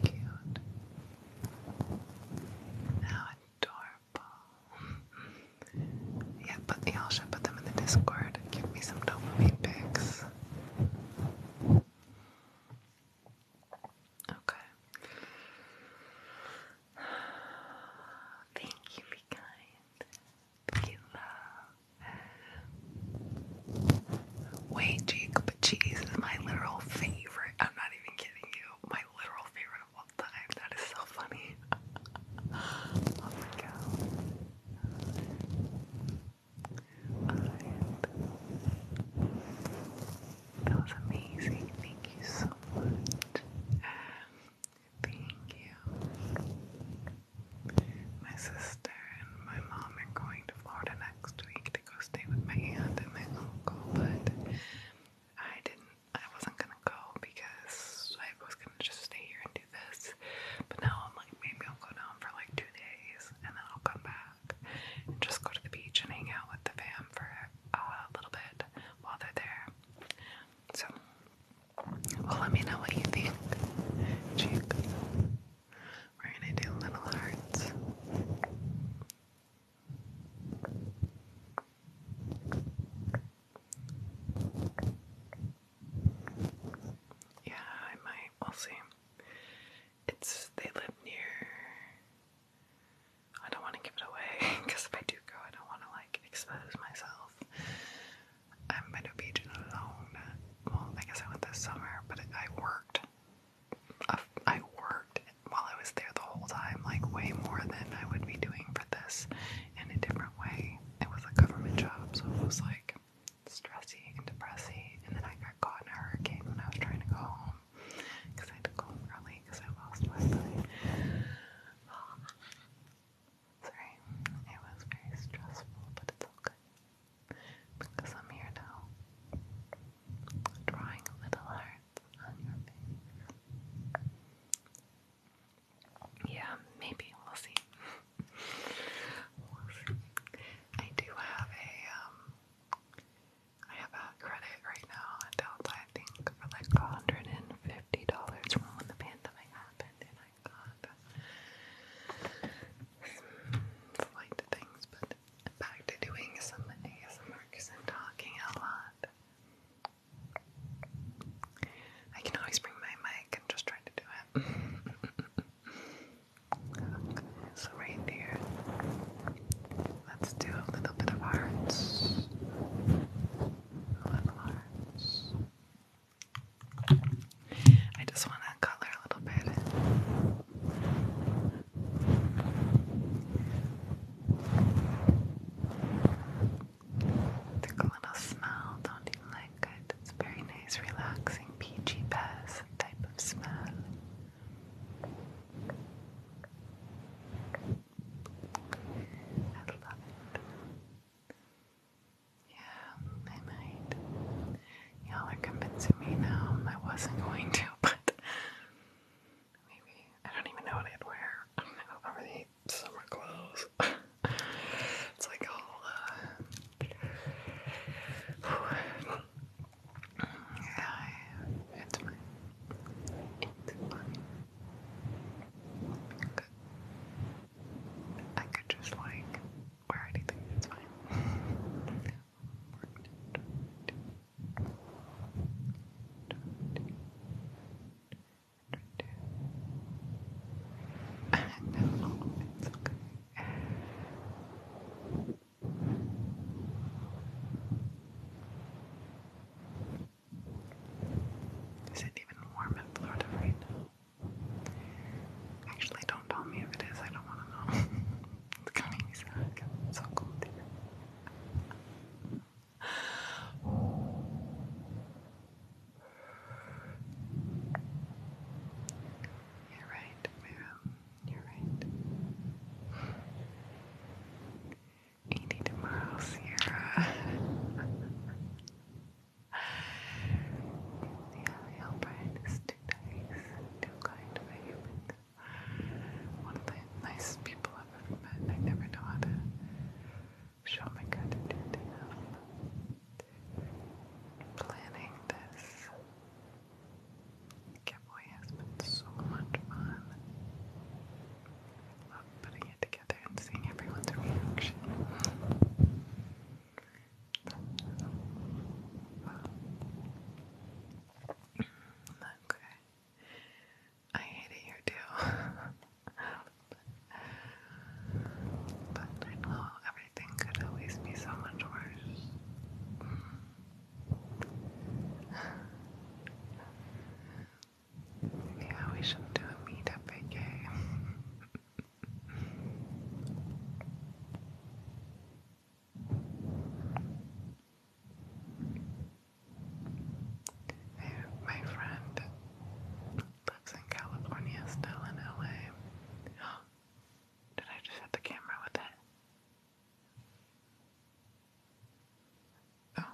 Cute. How adorable. yeah, but y'all should put them in the Discord. Give me some dopamine pics. Okay. Thank you, be kind. Be love. Wait, Jacob cheese is my literal favorite. I'm not even kidding you. My literal favorite of all time. That is so funny. (laughs) oh my god. That was amazing. Thank you so much. Thank you. My sister and my mom are going to Florida next week to go stay with my aunt and my uncle, but I didn't I wasn't gonna go because I was gonna just stay here and but now I'm like, maybe I'll go down for like two days and then I'll come back and just go to the beach and hang out with the fam for uh, a little bit while they're there. So, well, let me know what you think, We're gonna do little hearts. Yeah, I might. We'll see. It's they live near. I don't want to give it away because (laughs) if I do go, I don't want to like expose myself. I am going to be beach in Well, I guess I went this summer, but I worked. Uh, I worked while I was there the whole time, like way more than I would be doing for this in a different way. It was a government job, so it was like stressy and depressy, and then I got caught in a hurricane when I was trying to go home because I had to go home early because I lost my bike. (sighs) Sorry, it was very stressful, but it's all good because I'm here now, drawing little hearts on your face. Yeah, maybe we'll see. I do have a um, have a credit right now on Delta I think for like hundred and fifty dollars from when the pandemic happened and I got flight things but back to doing some ASMR because talking a lot. I can always bring my mic and just try to do it. (laughs) Okay, so right there, let's do a little bit of hearts. A little hearts. I just want to color a little bit. Tickle little smell, don't you like it. It's very nice, relaxing, peachy bass type of smell. I love it. Yeah, I might. Y'all are convincing me now. I wasn't going to, (laughs) but maybe I don't even know what I'd wear. I don't know, over the summer clothes. (laughs) it's like all uh, I, it's fine. It's fine. I could just like wear anything, it's fine. no, it's okay. Is it even warm in Florida right now? Actually, don't tell me if it is. I don't want to know. (laughs) it's gonna make It's so cold here. You're right, Miriam. You're right. 80 tomorrow, Sierra. (laughs) yeah, the Albright is too nice, too kind of a human. One of the nicest people I've ever met. I never know how to show my gratitude to them. Planning this Giveaway has been so much fun. I love putting it together and seeing everyone's reaction. okay. I hate it here too. (laughs) but, I know I everything could always be so much worse. yeah, we should do a meetup, AK. My friend lives in California, still in LA. Did I just hit the camera with that? Oh.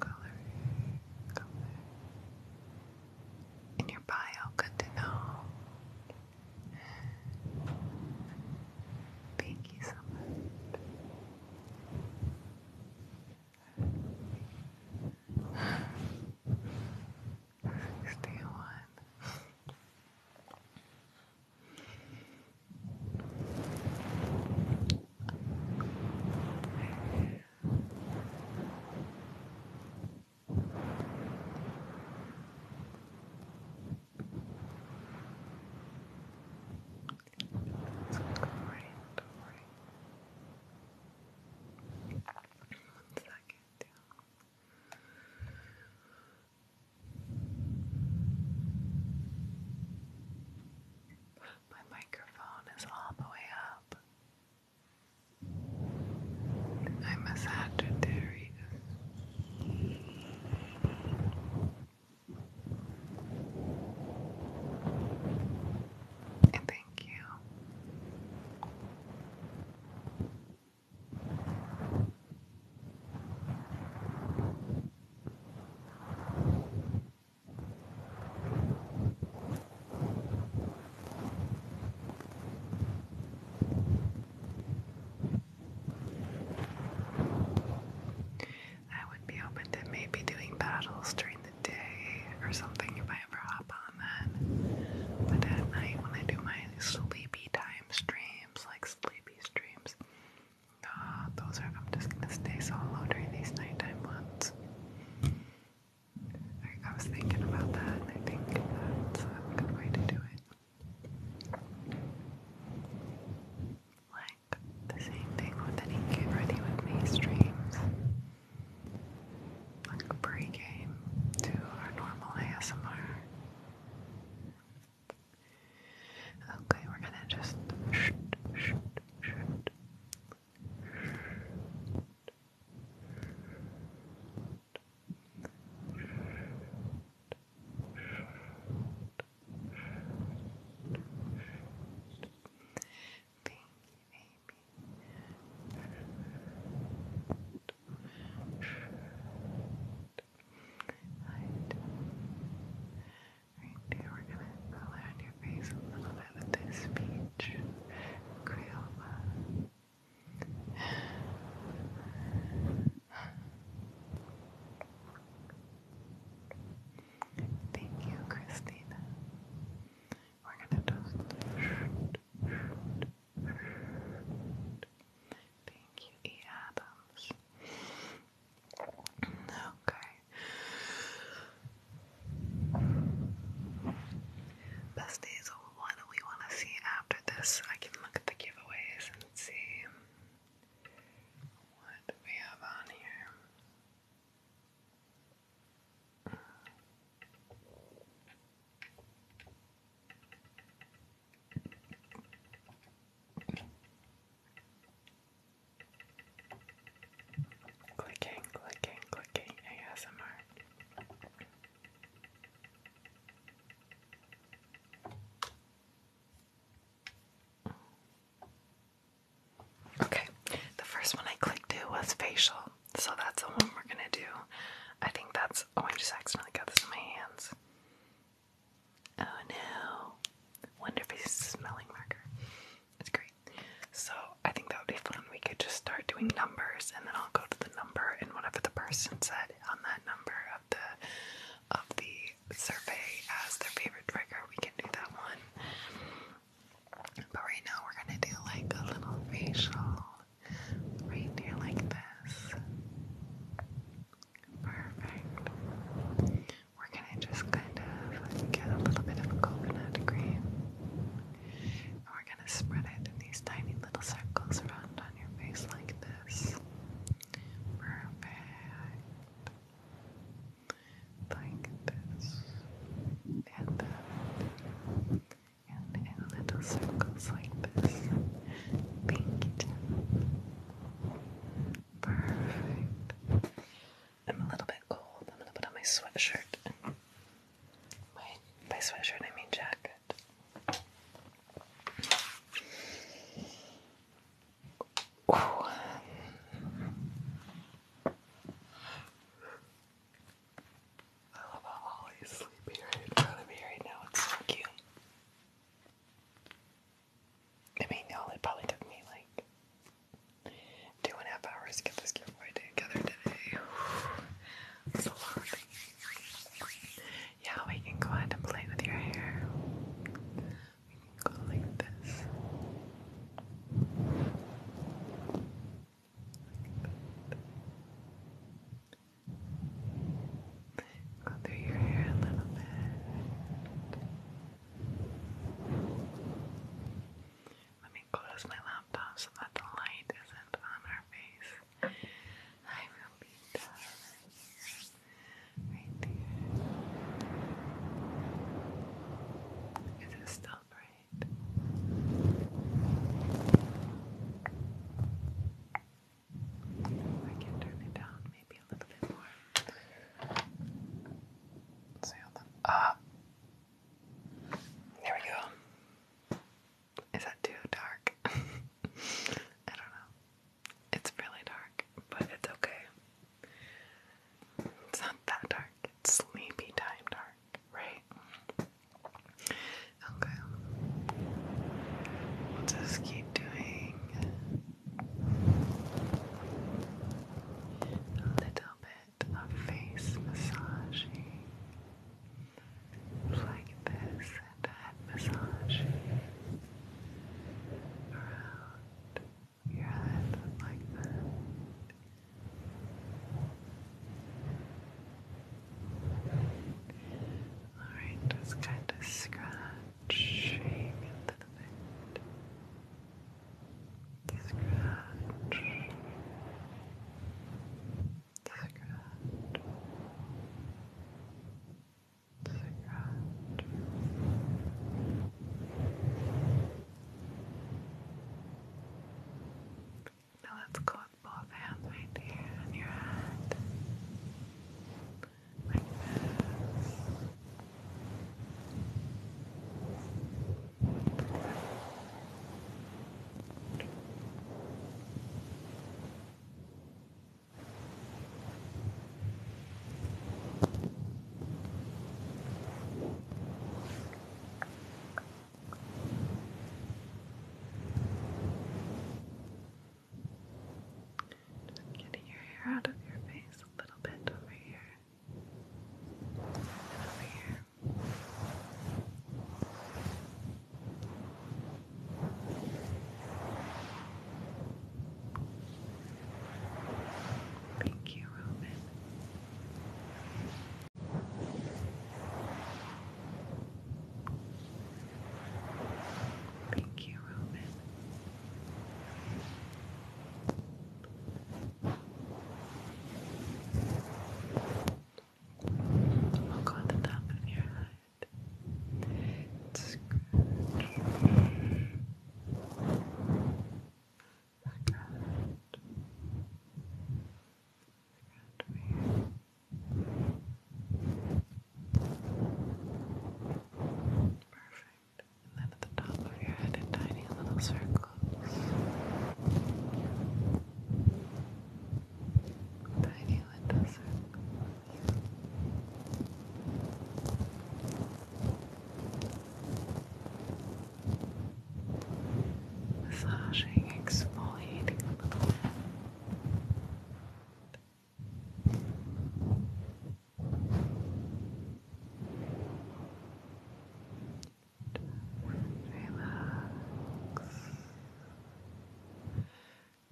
Color, color. In your bio, good to know. Thank you so much. Stay on. It's a great story. One second, My microphone is all the way up. I'm a Sagittarius. And thank you. I would be open to maybe doing battles during the day or something if I ever hop on that. But at night, when I do my sleepy time streams, like sleepy streams, those are, I'm just gonna stay solo during these nighttime ones. I, was thinking about that, I think that's a good way to do it. Like the same thing with any get ready with me streams. Like pre-game to our normal ASMR. Okay, we're gonna just shoot, shoot, shoot. Right here, we're going to color on your face a little bit with this peach Crayola. Right. Thank you, Christina. We're gonna just Thank you, E. Okay. Best days what do we want to see after this? I can look at the giveaways Let's see what we have on here. Clicking, clicking, clicking ASMR. Okay, the first one I clicked to was facial, so that's the one we're gonna do. I think that's. Oh, I just accidentally got this in my hands. Oh no. Wonder if it's a smelling marker. It's great. So I think that would be fun. We could just start doing numbers and then I'll go to the number and whatever the person said on that number of the of the survey as their favorite trigger, we can do that one. But right now we're gonna do like a little facial right here like this. Perfect. We're gonna just kind of get a little bit of coconut cream. And we're gonna spread it in these tiny little circles around on your face like this. Perfect. Like this. And that. in little circles like this. Perfect. I'm a little bit cold. I'm gonna put on my sweatshirt. My, sweatshirt, I mean Jack good. I love how Ollie's sleeping right in front of me right now. It's so cute. I mean, you probably took me like two and a half hours to get this giveaway together today. (sighs) It's a yeah, we can go ahead and play with your hair. We can go like this. Go through your hair a little bit. Let me close my laptop so that the light isn't on our face. I will be right here. Right still bright? I can turn it down maybe a little bit more. Ah! there we go. Is that too dark? (laughs) I don't know. It's really dark, but it's okay. It's not that dark. It's sleepy time dark, right? Okay. We'll just keep doing a little bit of face massaging like this and head around your head like that. Alright, just kind of scratching into the bit. Scratch. Scratch scratch now let's go both hands right here on your head like this just getting your hair out of your face a little bit over here and over here. Thank you, Roman. Thank you, Roman. I'll oh, go at the top of your head. It's good. Perfect. And then at the top of your head in tiny little circles. Tiny feel it does it? Massaging, exfoliating a little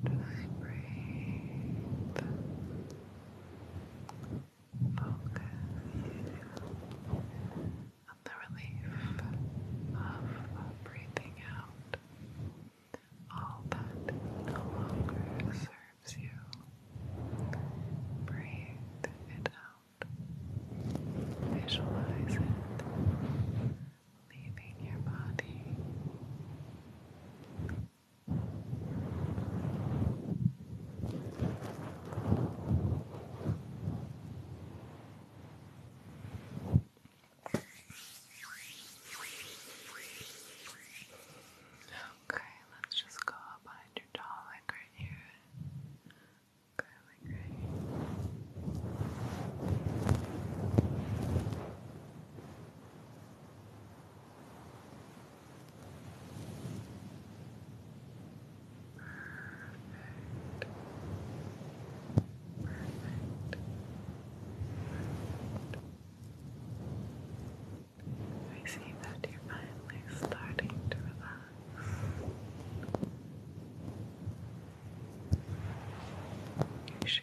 I breathe. Focus on the relief of breathing out all that no longer serves you. Breathe it out. Visualize it leaving your body. Okay, let's just go up behind your jaw like right here. like right here. I see that you're finally starting to relax. You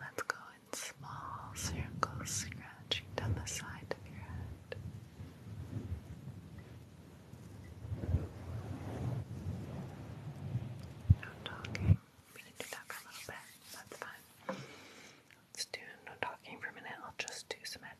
Let's go in small circles, scratching down the side of your head. No talking. We can do that for a little bit. That's fine. Let's do no talking for a minute. I'll just do some head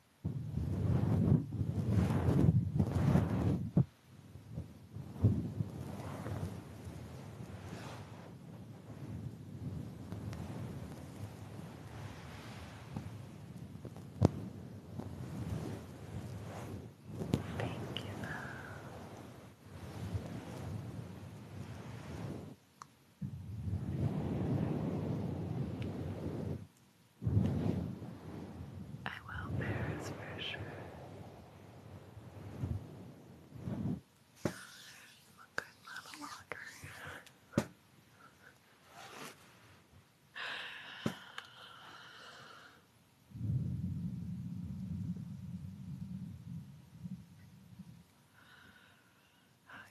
Thank you, love. I will, Paris, for sure. I'm good little walker.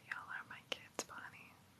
Y'all are my kids, Bonnie.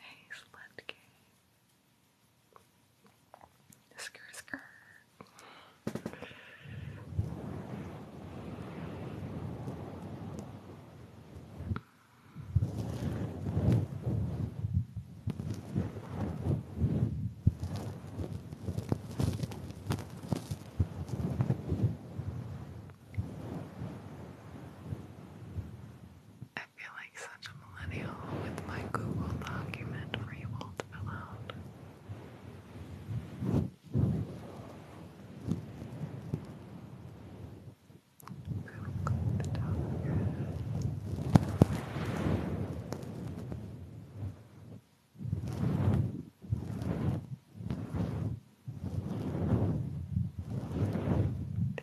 Hey, slept gay. Skr, skr. Hey, I feel like such a millennial with my Google document for you all fill out. It's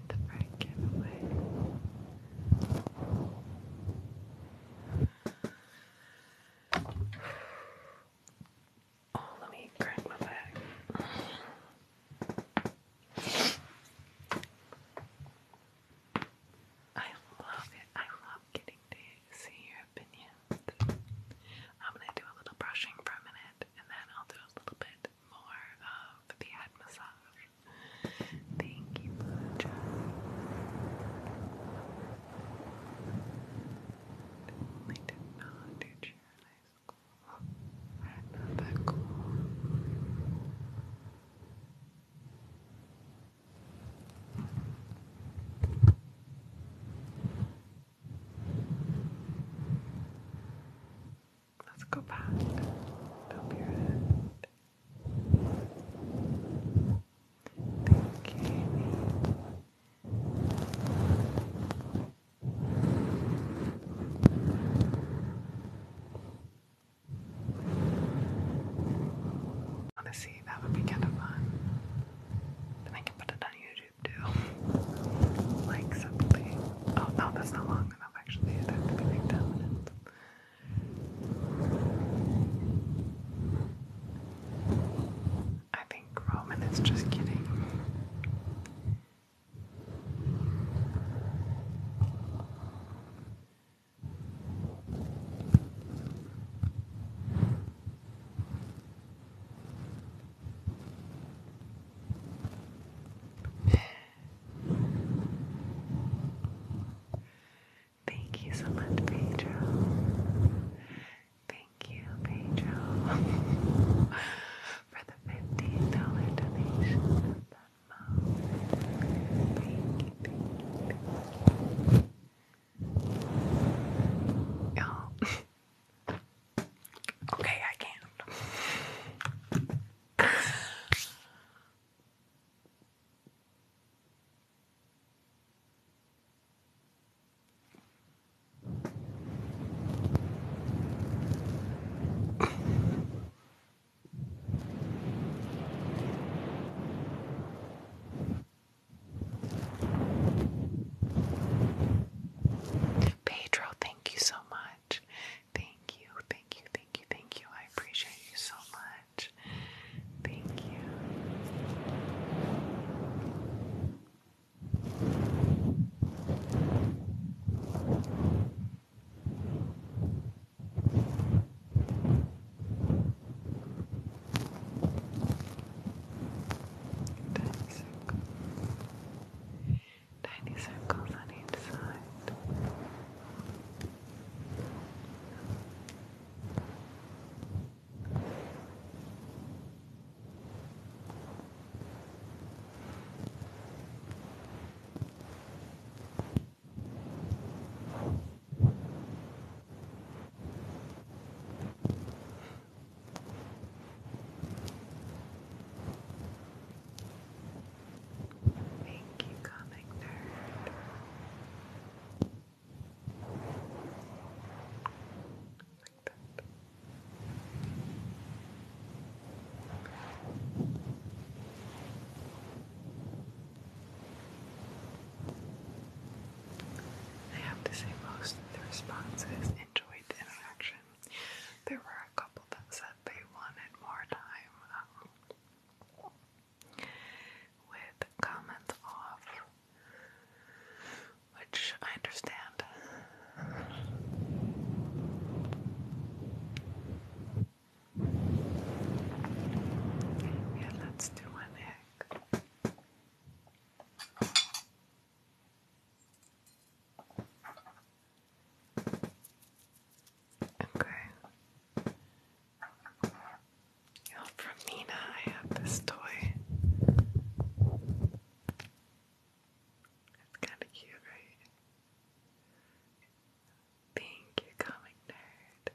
a Frank giveaway. Oh, let me crack my back. I love it. I getting to see your opinions. I'm gonna do a little brushing for a minute and then I'll do a little bit more of the head massage. Thank you, Lucha. Definitely did not do cheerleading school. Not that cool. Let's go back. Up your head. Thank you. Honestly, that would be kind of fun. Then I can put it on you YouTube like something. Oh no, that's not long enough actually. It had to be like 10 minutes. I think Roman is just kidding. Thank you so much, Pedro. Thank you, Pedro, (laughs) for the fifteen dollar donation. Yeah. (laughs) okay, I can Pedro, thank you so much. Thank you, thank you, thank you, thank you. I appreciate you so much. Thank you. Tiny circles. Tiny circles on each side. Thank you, comic Like that. I have to say most of the responses enjoyed the interaction. There were a couple that said they wanted more time um, with comments off, which I understand. Yeah, let's do an egg and from Mina, I have this toy. It's kind of cute, right? Thank you, comic nerd.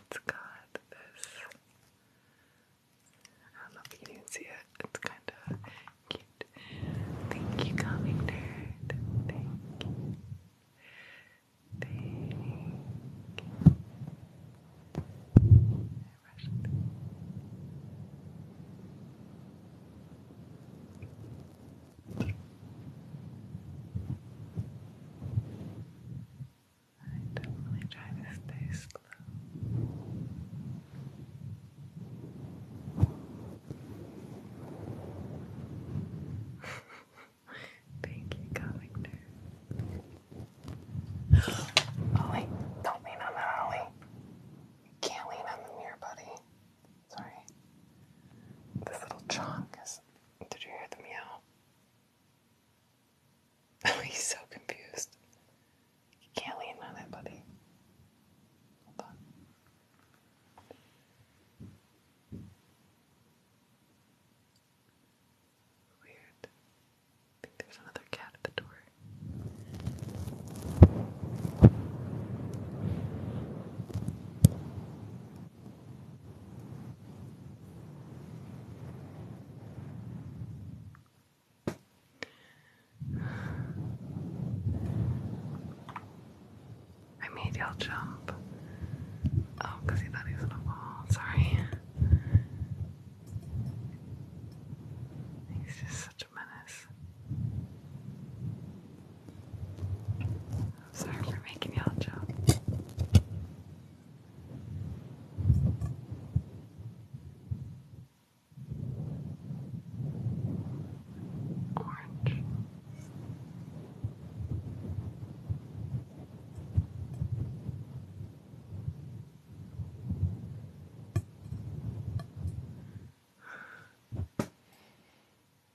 It's got this I love that you can see it. It's kind of cute. Thank you, calming nerd. Thank you. Thank you. I definitely try to stay slow. (laughs) Thank you, comic nerd. (gasps) Ollie, don't lean on that, Ollie. can't lean on the mirror, buddy. Sorry. This little chunk is. Did you hear the meow? (laughs) Oh, he's so confused. You can't lean on it, buddy. Hold on. Weird. I think there's another cat at the door. I made y'all jump. Oh, he thought he was gonna fall. Sorry. He's just such a menace. I'm sorry for making y'all jump orange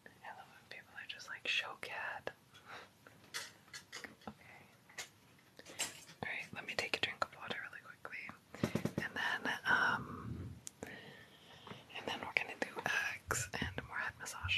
I love when people are just like show cat. okay. Alright, let me take a drink of water really and then, um, and then we're gonna do eggs and more head massage.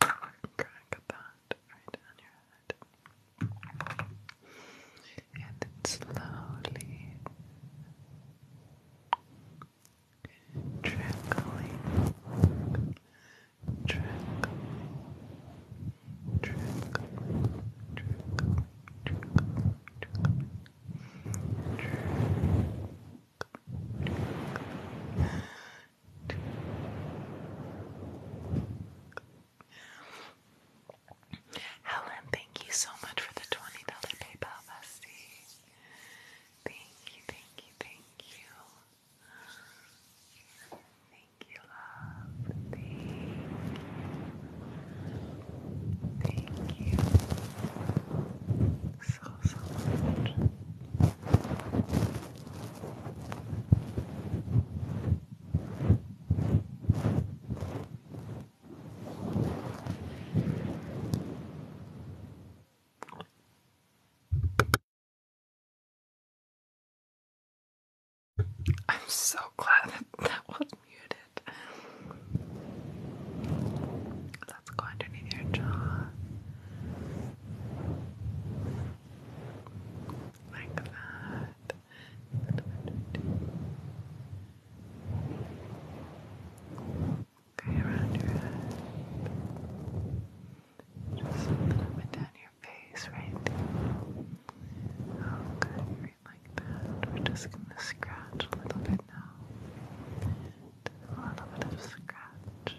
crack that right on your head. And then slowly trickling, trickling, trickling, trickling, trickling, trickling. Trick, trick, Helen, thank you so much for the $20 PayPal bestie. Thank you, thank you, thank you. Thank you, love. Thank Thank you. So, so much. I'm so glad that that was muted. Let's go underneath your jaw like that. Okay, around your head. Just a little bit down your face, right? Okay, right like that. We're just gonna scratch a little bit now. a little bit of scratching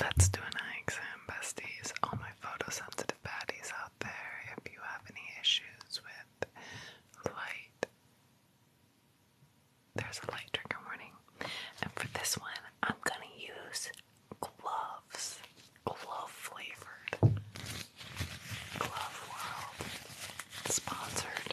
Let's do an eye exam, besties. All my photosensitive baddies out there, if you have any issues with light, there's a light trigger warning. And for this one, I'm gonna use gloves, glove flavored, glove world sponsored.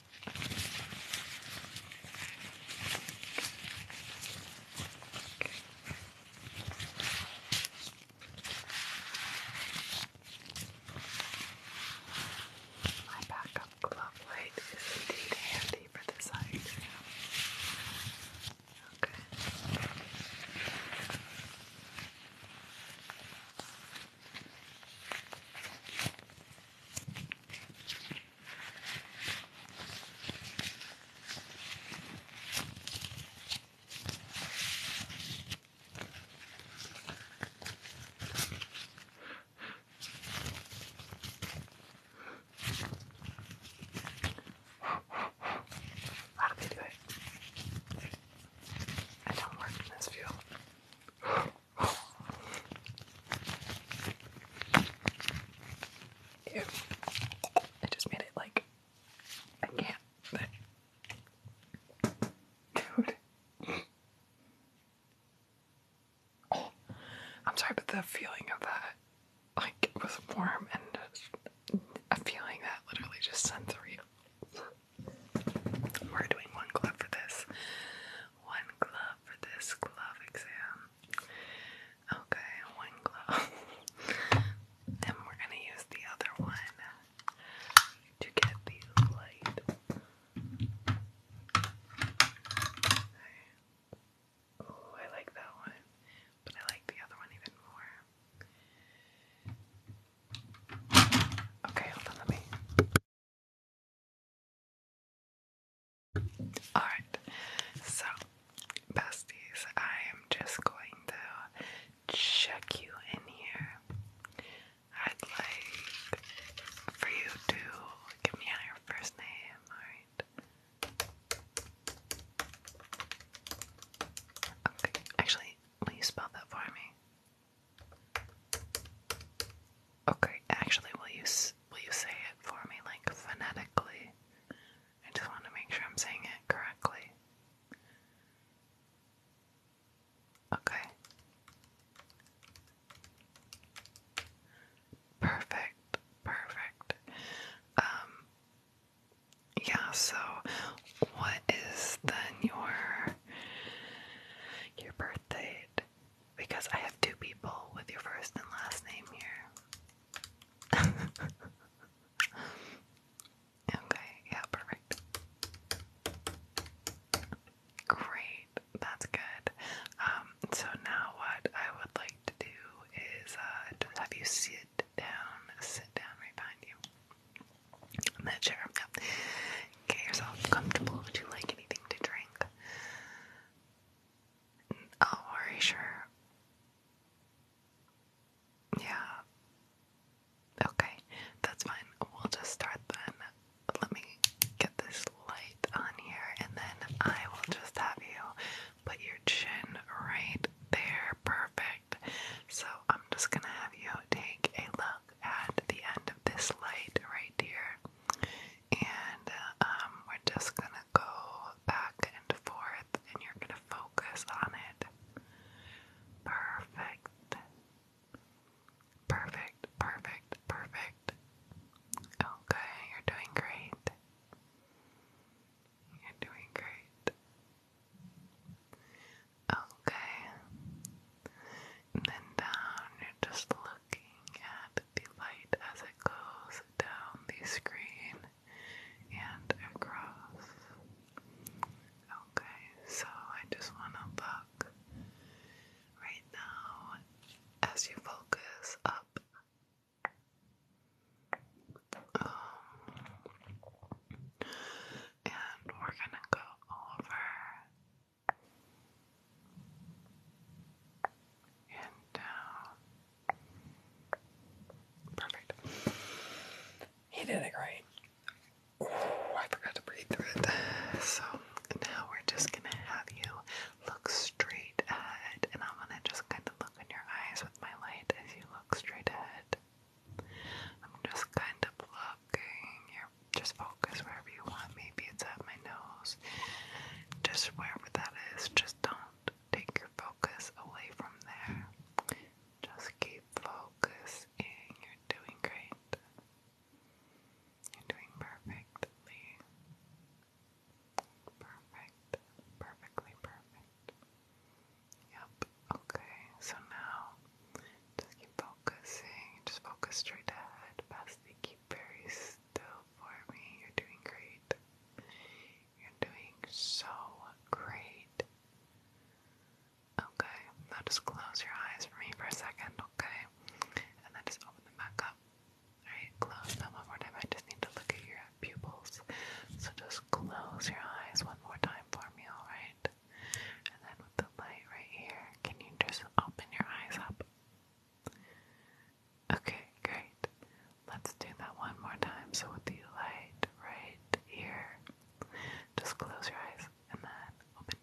My backup glove light is indeed handy for this ice. Okay. How do they do it? I don't work in this field. I just made it like I can't. Dude. I'm sorry, but the feeling of that, like, was warm and a feeling that literally just sent through We're doing one glove for this. One glove for this glove exam. Okay, one glove. (laughs) then we're gonna use the other one to get the light. Oh, I like that one, but I like the other one even more. Okay, hold on, let me Alright, so besties, I am just going to check you in here. I'd like for you to give me your first name, alright? Okay, actually, will you spell that for me? Okay, actually, will you will you say it for me, like phonetically? I just want to make sure I'm saying it correctly. Okay. Perfect, perfect. Um, yeah. So, what is then your your birth because I have two people with your first and last name here. (laughs) okay, yeah, perfect. Great, that's good. Um, so now what I would like to do is uh, have you sit down, sit down right behind you. In that chair. Get yourself comfortable. Would you like anything to drink? I'll oh, worry, sure. Yeah. Okay, that's fine. We'll just start then. Let me get this light on here, and then I will just have you put your chin right there. Perfect. So I'm just gonna have you take a look at the end of this light right here and um, we're just gonna go back and forth, and you're gonna focus on it. Perfect. Perfect, perfect, perfect. Okay, oh, you're doing great. You're doing great. Okay. And then down, you're just looking at the light as it goes down the screen and across. Okay, so I just want to look right now as you focus up. Um, and we're gonna go over and down. Uh, perfect. He did it great. I forgot to breathe through it. So now we're just gonna have you look straight ahead, and I'm gonna just kind of look in your eyes with my light as you look straight ahead. I'm just kind of looking. You're just focus wherever you want me maybe it's at my nose. Just wherever that is, just don't take your focus away from there. Just keep focus and you're doing great. You're doing perfectly. Perfect. Perfectly perfect. Yep. Okay. So now just keep focusing. Just focus straight ahead. Past keep very still for me. You're doing great. You're doing so great. Okay, now just close your eyes for me for a second, okay? And then just open them back up. Alright, close them one more time. I just need to look at your pupils. So just close your eyes one more time for me, alright? And then with the light right here, can you just open your eyes up? Okay, great. Let's do that one more time. So, with the light right here, just close your eyes and then open.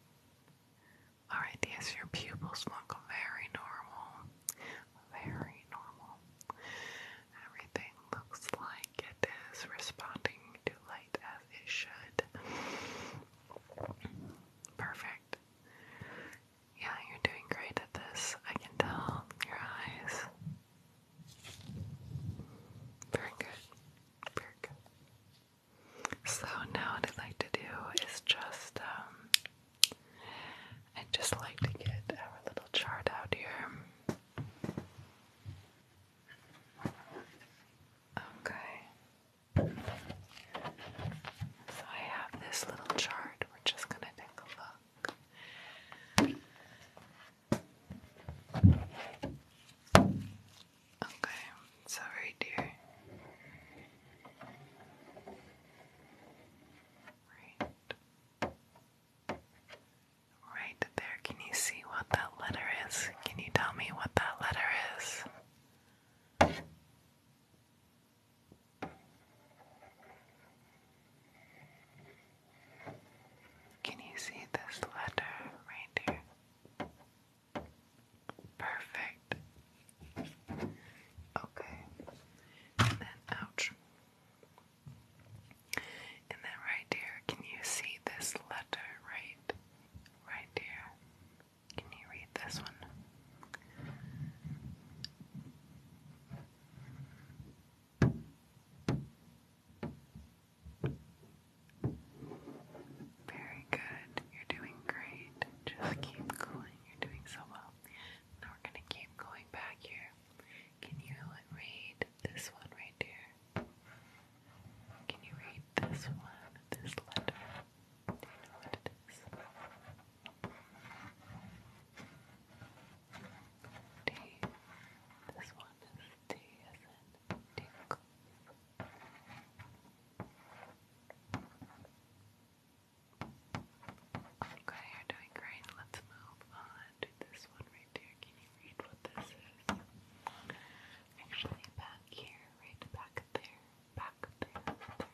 Alright, yes, your pupils look very normal. Very normal. Everything looks like it is responding to light as it should. Perfect. Yeah, you're doing great at this. I can tell your eyes. Very good. Very good. So now what I'd like to do is just um I just like to get our little chart out here. Okay. So I have this little chart we're just gonna take a look. Okay, so right here. Right. Right there. Can you see what that letter is? Can you tell me what that letter is? Can you see this letter right here? Perfect. Okay. And then, ouch. And then right here, can you see this letter right? Right here. Can you read this one? Very good. You're doing great. Just keep going. You're doing so well. Now we're going to keep going back here. Can you read this one right there? Can you read this one? This letter? Do you know what it is? D. This one is D as in Okay, you're doing great. Let's move on to this one right there. Can you read what this is? Actually, back here, right back there, back there, there.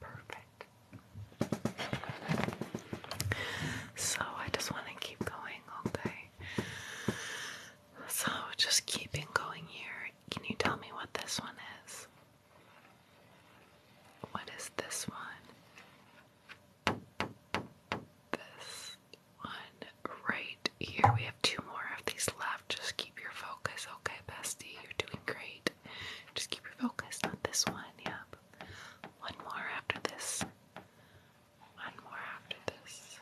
Perfect. So I just want to keep going, okay? So just keeping going here. Can you tell me what this one is? What is this one? This one right here. We have two more of these left. Just keep your focus, okay, bestie? You're doing great. Just keep your focus on this one. Yep. One more after this. One more after this.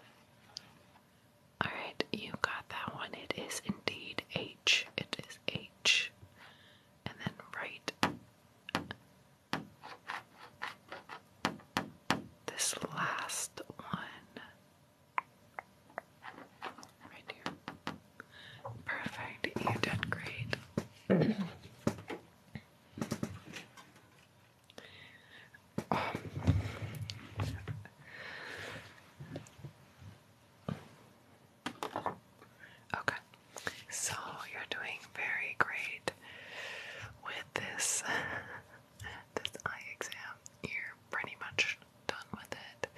Alright, you got that one. It is indeed H. It is H. And then right this last one right here. Perfect, you did great. okay, so you're doing very great with this (laughs) this eye exam, you're pretty much done with it.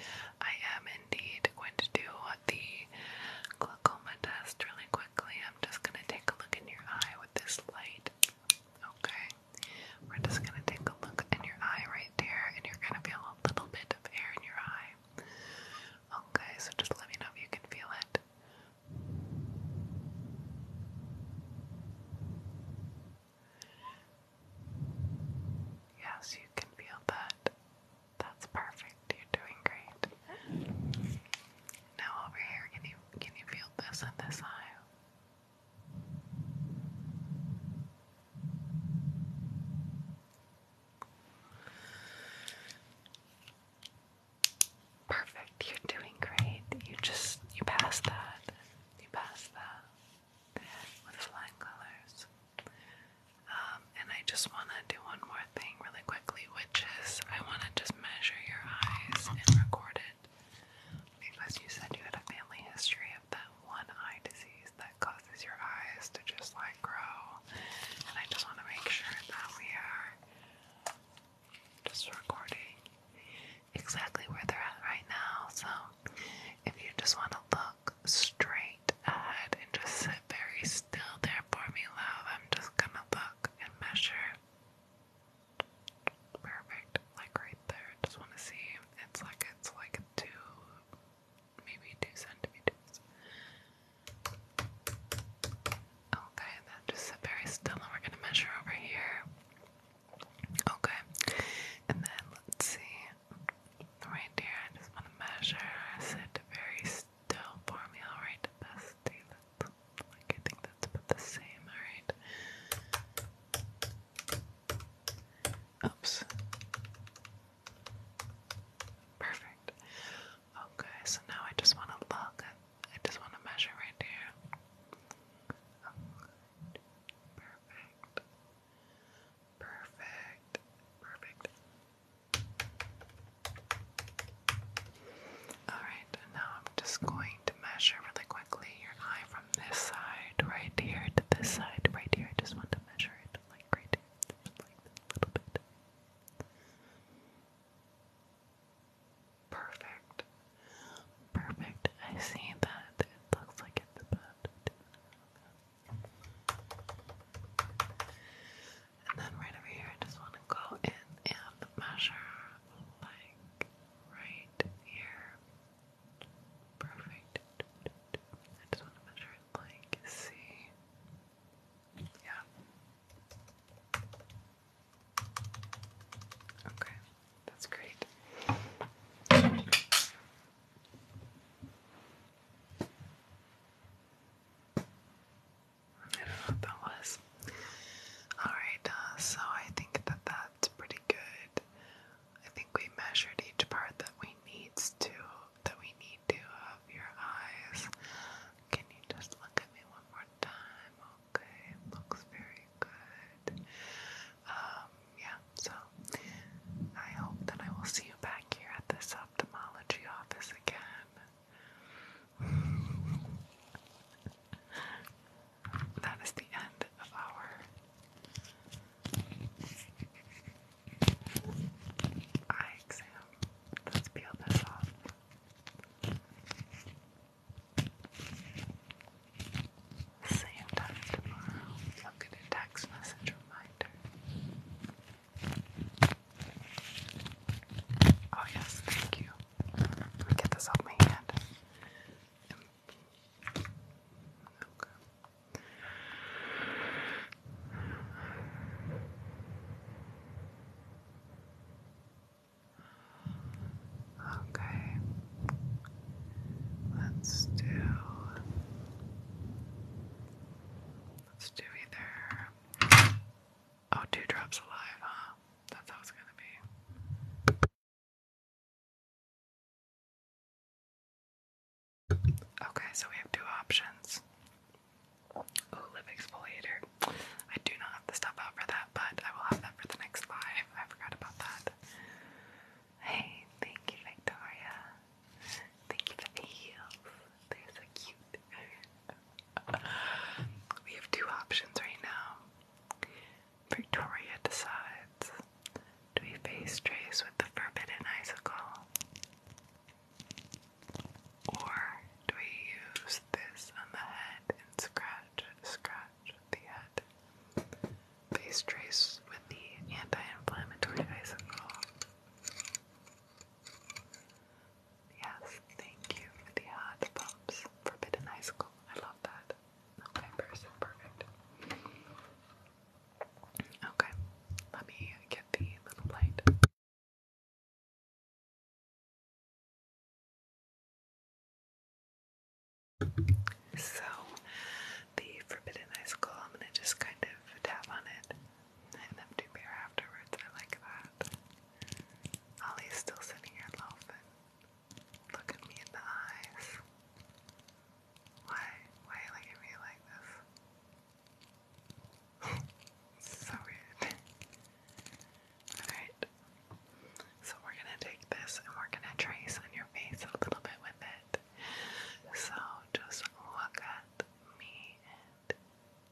I am indeed going to do the glaucoma test really quickly. I'm just gonna take a look in your eye with this light. Okay. We're just gonna take a look in your eye right there and you're gonna feel a little bit of air in your eye. Okay, so just let me know if you can feel it. Yes, you can feel that. That's perfect. You're doing great. Now over here, can you can you feel this in this eye? Perfect. You're doing great. You just you pass that. You pass that with flying colors. Um, and I just want to do one more thing really quickly, which I want to just measure your eyes and record it because you said you had a family history of that one eye disease that causes your eyes to just like grow. And I just want to make sure that we are just recording exactly where they're at right now. So if you just want to look straight ahead and just sit very still there for me, love, I'm just gonna look and measure. Perfect, like right there. Just want to see. It's like it's like two, maybe two centimeters. Okay, just sit very still and we're gonna measure over here. Okay. And then let's see. Right here, I just wanna measure. Sit very still for me. Alright, bestie. That's I think that's about the same, alright. Oops. Perfect. Okay, so now I just want to look I just want to measure right here. Perfect. Perfect. Perfect. Alright, now I'm just going to measure really quickly your eye from this side right here to this side right here. I just want to measure it like right here. like this little bit. Perfect. Perfect. I see that. It looks like it's about And then right over here, I just want to go in and measure, like, right here. Perfect. I just want to measure like, see. Yeah. Okay, that's great. I don't know what that was. Alright, uh, so I think that that's pretty good. I think we measured each part that we needs to that we need to of your eyes. Can you just look at me one more time? Okay, looks very good. Um, yeah, so I hope that I will see you back here at this ophthalmology office again. (laughs) that is the end of our eye exam. Let's peel this off. Same time tomorrow, you'll get a text message reminder. Oh, yes, thank you. Get this off my hand. Okay. Okay, let's do let's do either oh two drops alive, huh? That's how it's gonna be. Okay, so we have two options. Oh, lip exfoliator. I do not have the stuff out for that, but I will have that for the next live. I forgot about that. Hey, thank you, Victoria. Thank you for the heels. They're so cute. (laughs) we have two options right now. Victoria decides do we face Trace with the forbidden icicle? Or do we use this on the head and scratch, scratch, massage the head, face trace with the anti-inflammatory icicle. Yes, thank you the hot pumps. Forbidden icicle. I love that. Okay, person, perfect. Okay, let me get the little light. So, the forbidden icicle, I'm gonna just kind of tap on it and empty beer afterwards. I like that. Ollie's still sitting here loafing. Look at me in the eyes. Why? Why are you looking at me like this? (laughs) so weird. Alright. So we're gonna take this and we're gonna trace on your face a little bit with it. So just look at me and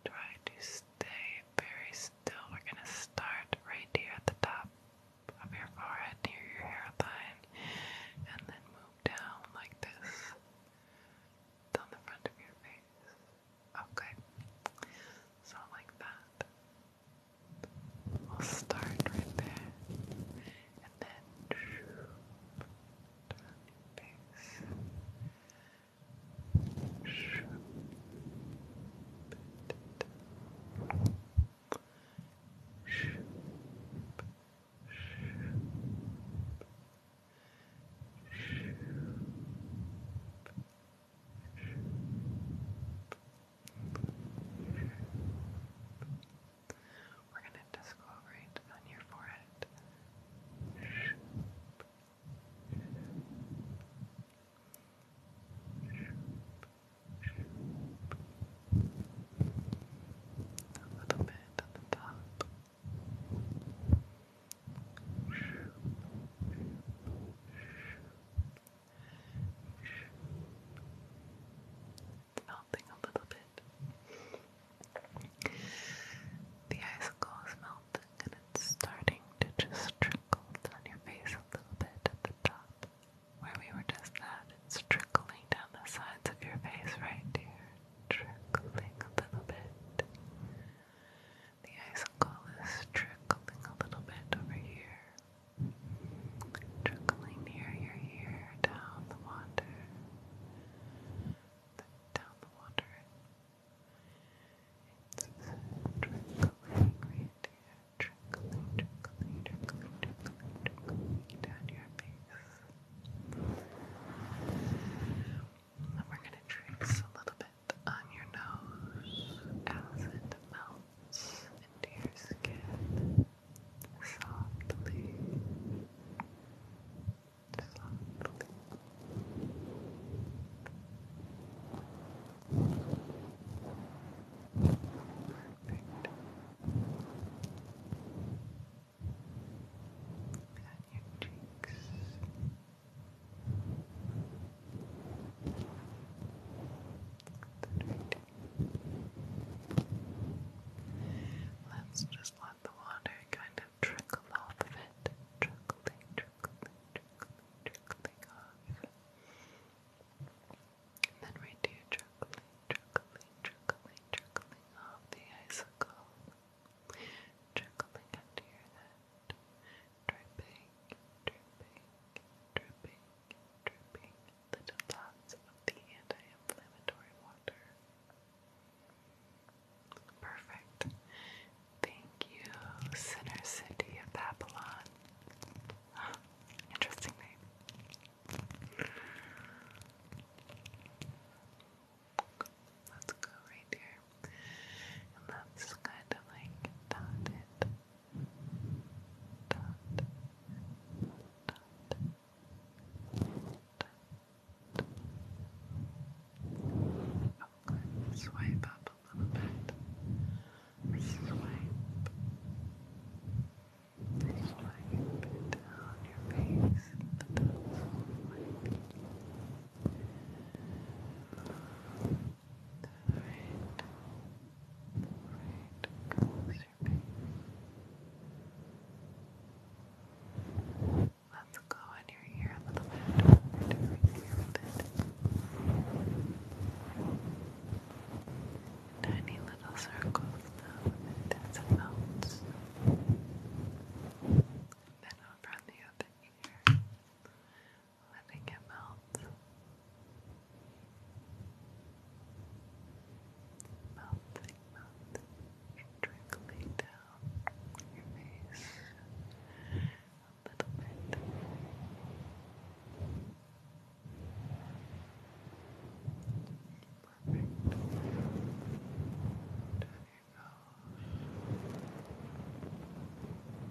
try to stay very still. We're gonna start right here at the top of your forehead near your hairline and then move down like this down the front of your face. Okay. So like that. We'll start right there and then we're gonna just go right on your forehead. A little bit at the top melting a little bit. The icicle is melting and it's starting to just trickle down your face a little bit at the top. Where we were just at, it's trickling down the sides of your face right here. Trickling a little bit. The icicle is trickling a little bit over here trickling near your ear, down the water, down the water. It's trickling right here, trickling, trickling, trickling, trickling, down your face. And we're gonna trace a little bit on your nose as it melts into your skin softly, softly. Perfect. And your cheeks. Then Let's just let the water kind of trickle off of it. Trickling, trickling, trickling, trickling off. And then we do trickling, trickling, trickling, trickling off the icicle. Trickling under your head. Dripping, dripping, dripping, dripping little dots of the anti-inflammatory water. Perfect. Thank you, Sinner City of Babylon. (gasps) Interesting name. Let's go right here. And let kind of like dot Okay, swipe up a little bit. Swipe. Swipe down your face. The swipe. Alright. Alright, close your face. Let's go in your ear a little bit. Right here with it. Tiny little circles now with it as it melts. And then over on the other ear, letting it melt. Right melting, melting, trickling down your face a little bit. Perfect. Down your nose.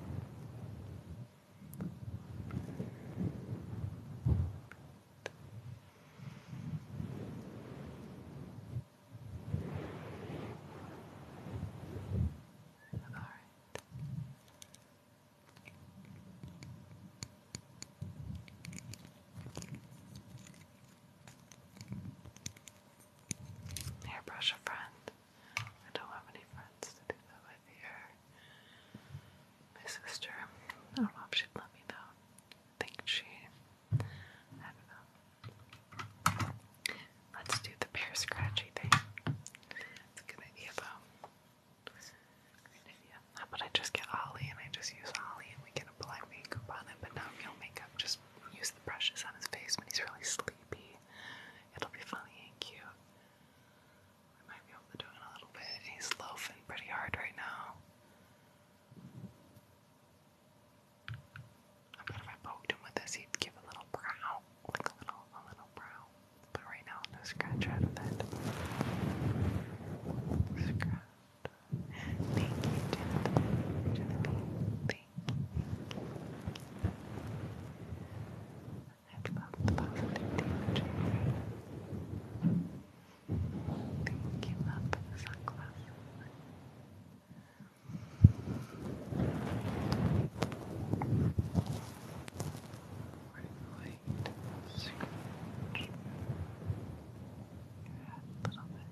All right. Hairbrush a friend. I don't have any friends chance to do that with your my sister. I don't know if she'd let me though. I think she Let's do the pear scratchy thing. It's a good idea though. Good I just get Ollie and I just use Ollie and we can apply makeup on him, but not real makeup, just use the brushes on his face when he's really sleepy. It'll be funny and cute. I might be able to do it a little bit. He's loafing pretty hard right now. I bet if I poked him with this, he'd give a little brow, like a little, a little brow. But right now, no scratch out of that. Scratch. Thank you, Jonathan. Thank you. I love the positivity energy. Thank you, for the sunglasses. White scratch a little bit.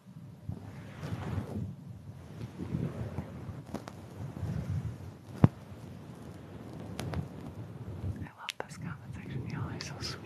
I love this comment section, y'all are so sweet.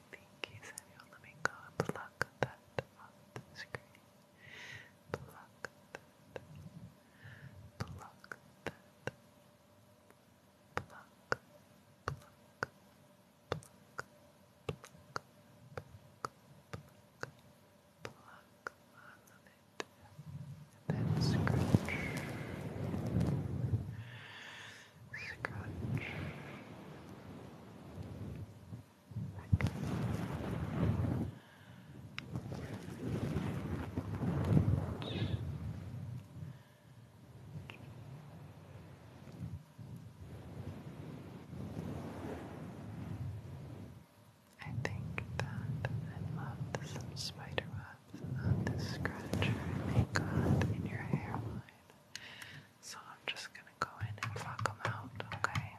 Thank you, Samuel. Let me go and pluck that off the screen. Pluck that. Pluck that. Pluck. Pluck. Pluck. Pluck. Pluck. Pluck. All of it. And then scratch scratch. I think that I loved some spider on this scratcher they got in your hairline. So I'm just gonna go in and pluck them out, okay?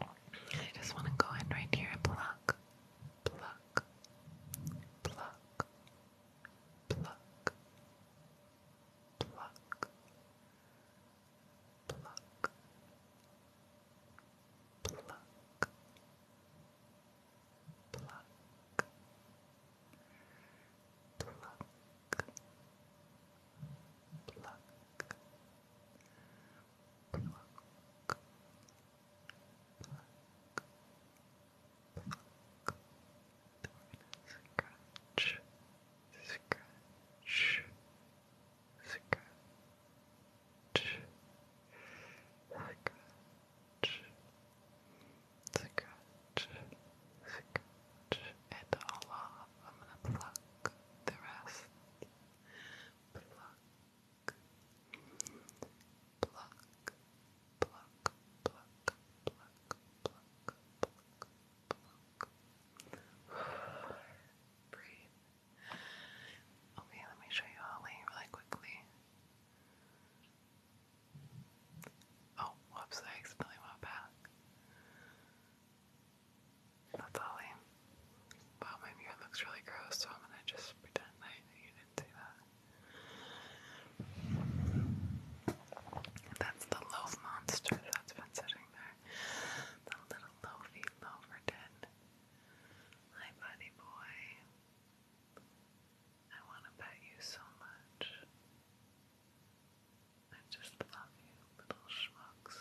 I just want to go in right here and pluck, pluck, pluck, pluck, pluck, pluck, pluck, pluck, pluck, pluck, pluck, pluck. Pluck. Then we're gonna scratch, scratch, scratch, scratch, scratch, scratch it I'm gonna pluck the rest. Pluck, pluck, pluck, pluck, pluck, pluck, pluck, pluck. Breathe. Okay, let me show you Holly really quickly. Oh, whoops, I accidentally went back. That's Ollie. Wow, my mirror looks really gross, so I'm gonna just pretend I you didn't see that. That's the loaf monster that's been sitting there. The little loafy loafer den. Hi, buddy boy. I want to pet you so much. I just love you, little schmucks.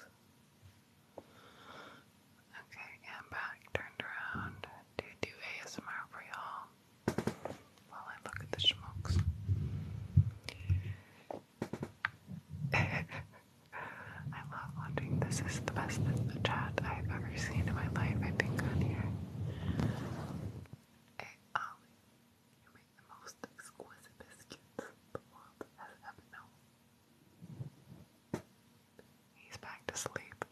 Okay, I'm back, turned around to do ASMR for y'all while I look at the schmucks. (laughs) I love watching. This is the best chat I've ever seen in my life, I think, on here. Hey um, Ollie, you make the most exquisite biscuits the world has ever known. He's back to sleep.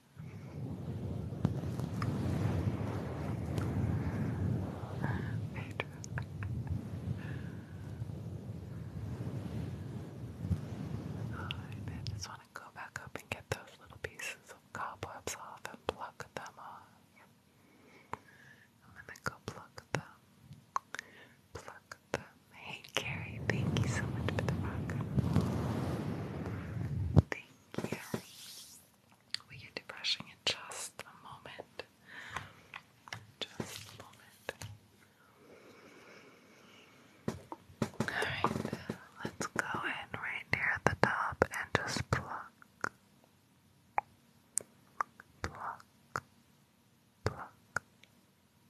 (laughs) I just want to go back up and get those little pieces cobwebs off and pluck them off. I'm go pluck them. Pluck them. Hey Carrie, thank you so much for the rock. Thank you. Will you do in just a moment? Just a moment. Alright, let's go in right near the top and just pluck pluck, pluck,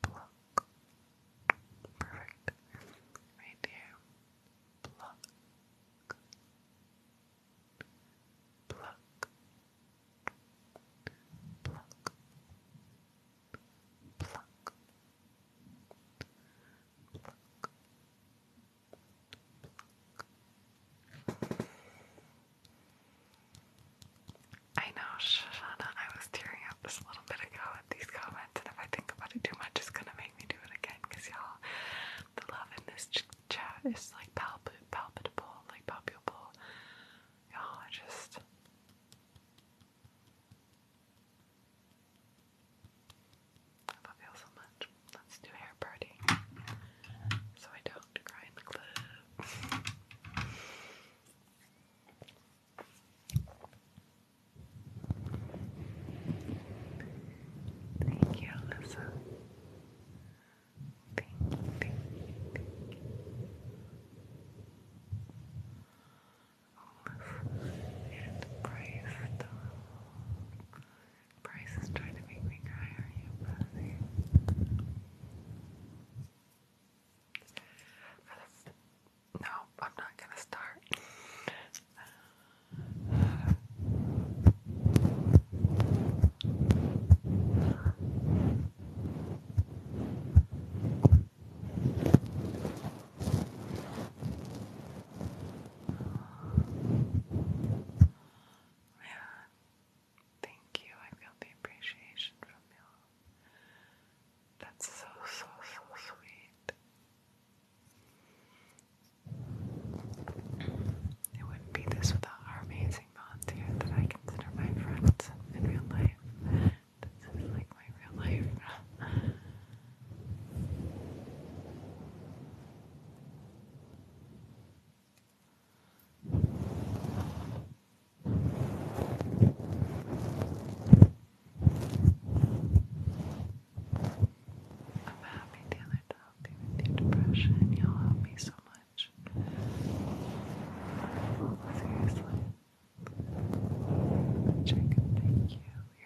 pluck. Perfect. Right there. Pluck, pluck, pluck, pluck. Pluck, pluck, I know, Shoshana, I was tearing up just a little bit ago at these comments, and if I think about it too much, it's gonna make me do it again, because y'all, the love in this ch chat is like palpable, palpable, like palpable. Y'all are just. I love you so much. Let's do hair party. So I don't cry in the club. Thank you, Alyssa. Thank thank thank you. Alyssa and Grace, Bryce is trying to make me cry, are you, Rosie? No, I'm not gonna start. Yeah. (sighs) Thank you. I feel the appreciation from you. That's so, so, so sweet. It wouldn't be this without our amazing volunteer that I consider my friends in real life. This like my real life. (laughs) I'm happy, to help you with your depression. You'll help me so much. Seriously. thank you.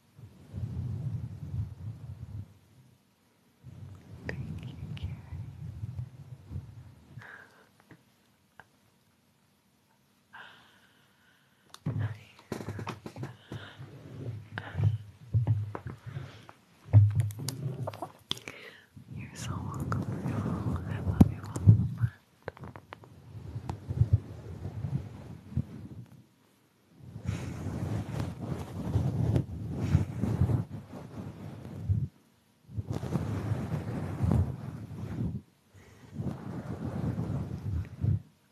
Thank you, Carrie. You're so welcome. I love you all so our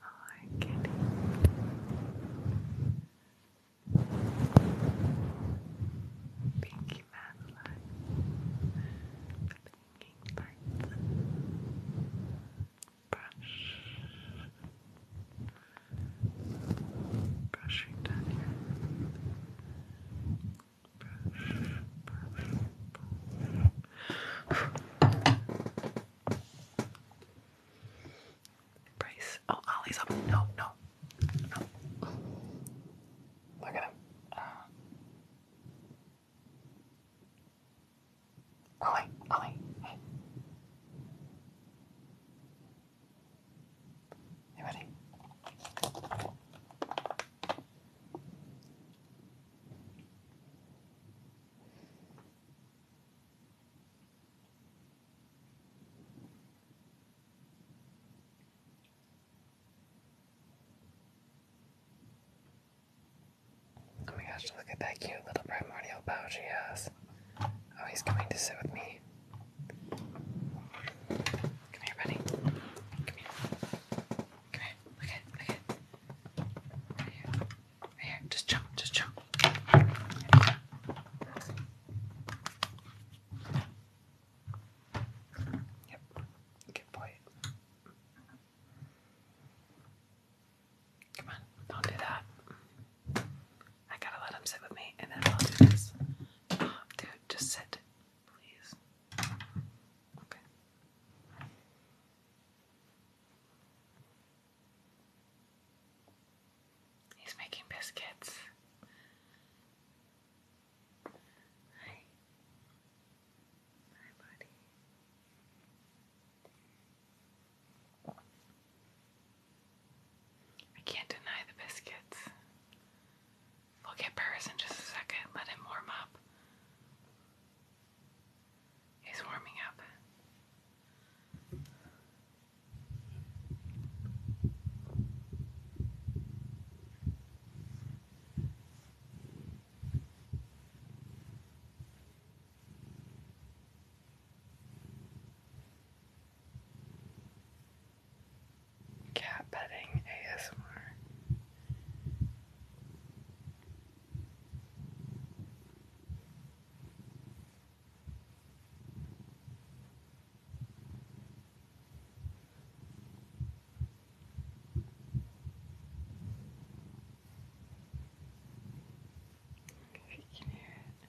oh, kitty. Pinky Madeline. Pinky bites brush, brushing down here, brush, brush, brush. Oh, Ollie's up. No, no, no. Look at him. Uh. Ollie, Ollie, You ready? Oh my gosh, look at that cute little primordial pouch he has. Oh, he's coming to sit with me. Come here, buddy. Come here. Come here. Look at look at Right here. Right here. Just jump, just jump. Yep. Good boy. Come on, don't do that. I gotta let him sit with me and then I'll do this. dude, just sit, please. Okay. He's making biscuits. Hi. Hi, buddy. I can't deny the biscuits. We'll get Paris in just a second. Let him warm up. He's warming up. Cat petting ASMR. If you can hear it.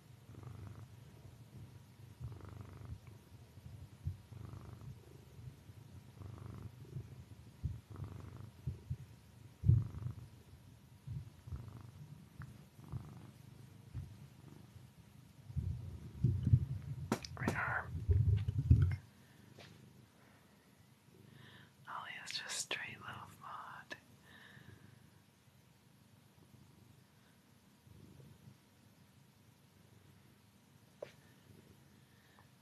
Right arm. Oh, yeah, it's just straight love mod.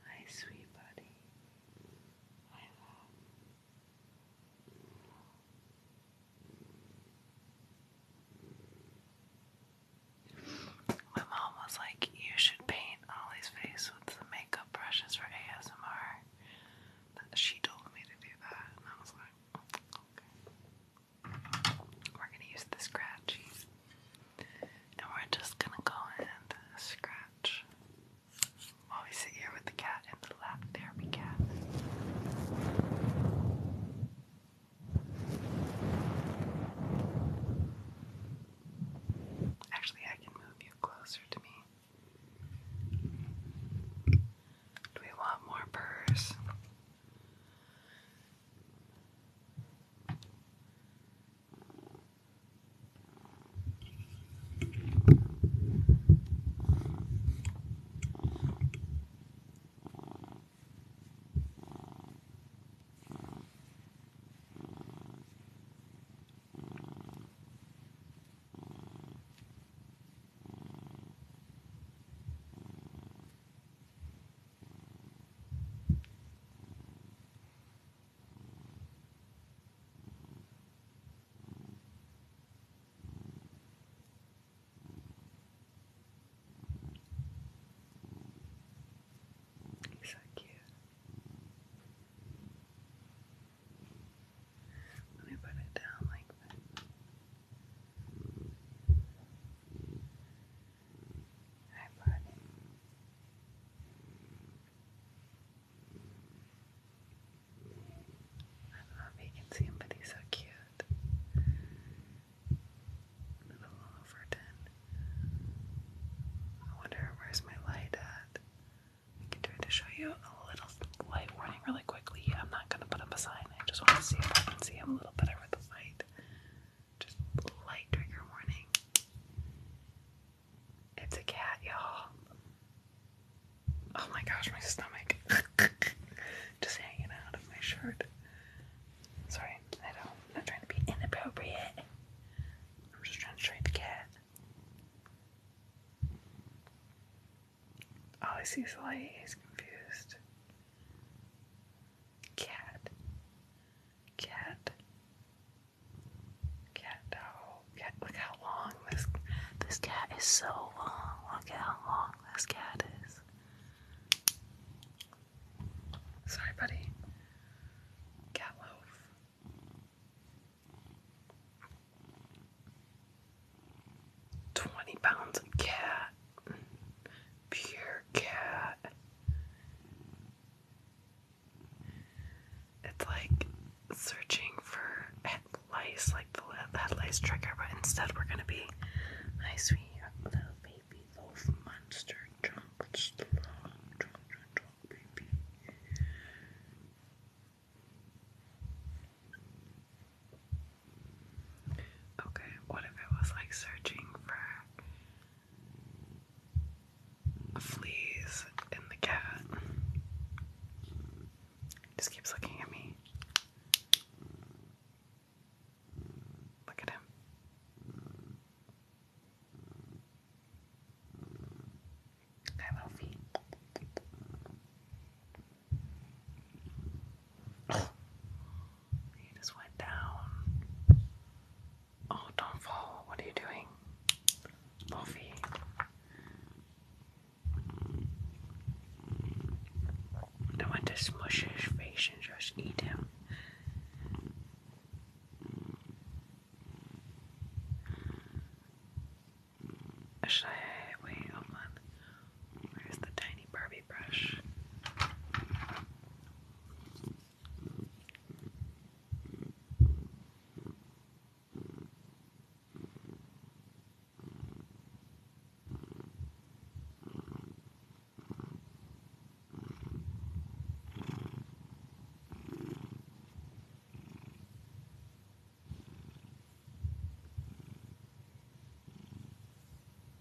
My sweet buddy, my love. My mom was like, You should paint Ollie's face with the makeup brushes for ASMR. She told me to do that, and I was like, we're gonna use the scratchies. And we're just gonna go and scratch while we sit here with the cat in the lap therapy cat. Actually, I can move you closer to me. Do we want more purrs? He's so cute. Let me put it down like I brought it. I don't know if you can see him, but he's so cute. A little overton. I wonder where's my light at? I can try to show you a little light warning really quickly. I'm not gonna put up a sign. I just want to see if I can see him a little better with the light. Just light trigger warning. It's a cat, y'all. Oh my gosh, my stomach. (laughs) Just hanging out of my shirt. Sorry, I don't. not trying to be inappropriate. I'm just trying to trade the cat. Oh, he sees light. He's confused. Cat. Cat. Cat dog. Cat. Look how long this this cat is. So long. Look how long this cat is. Sorry, buddy. Cat loaf. 20 pounds of cat, pure cat. It's like searching for lice, like the lice trigger, but instead we're gonna be my sweet little baby loaf monster. Jump, strong, jump, jump, jump, baby. Okay, what if it was like searching for fleas in the cat? just keeps looking at me. Look at him. Hi, Wolfie. He just went down. Oh, don't fall. What are you doing? Buffy. I want to smush his face and just eat him. Should I wait a month? There's the tiny Barbie brush.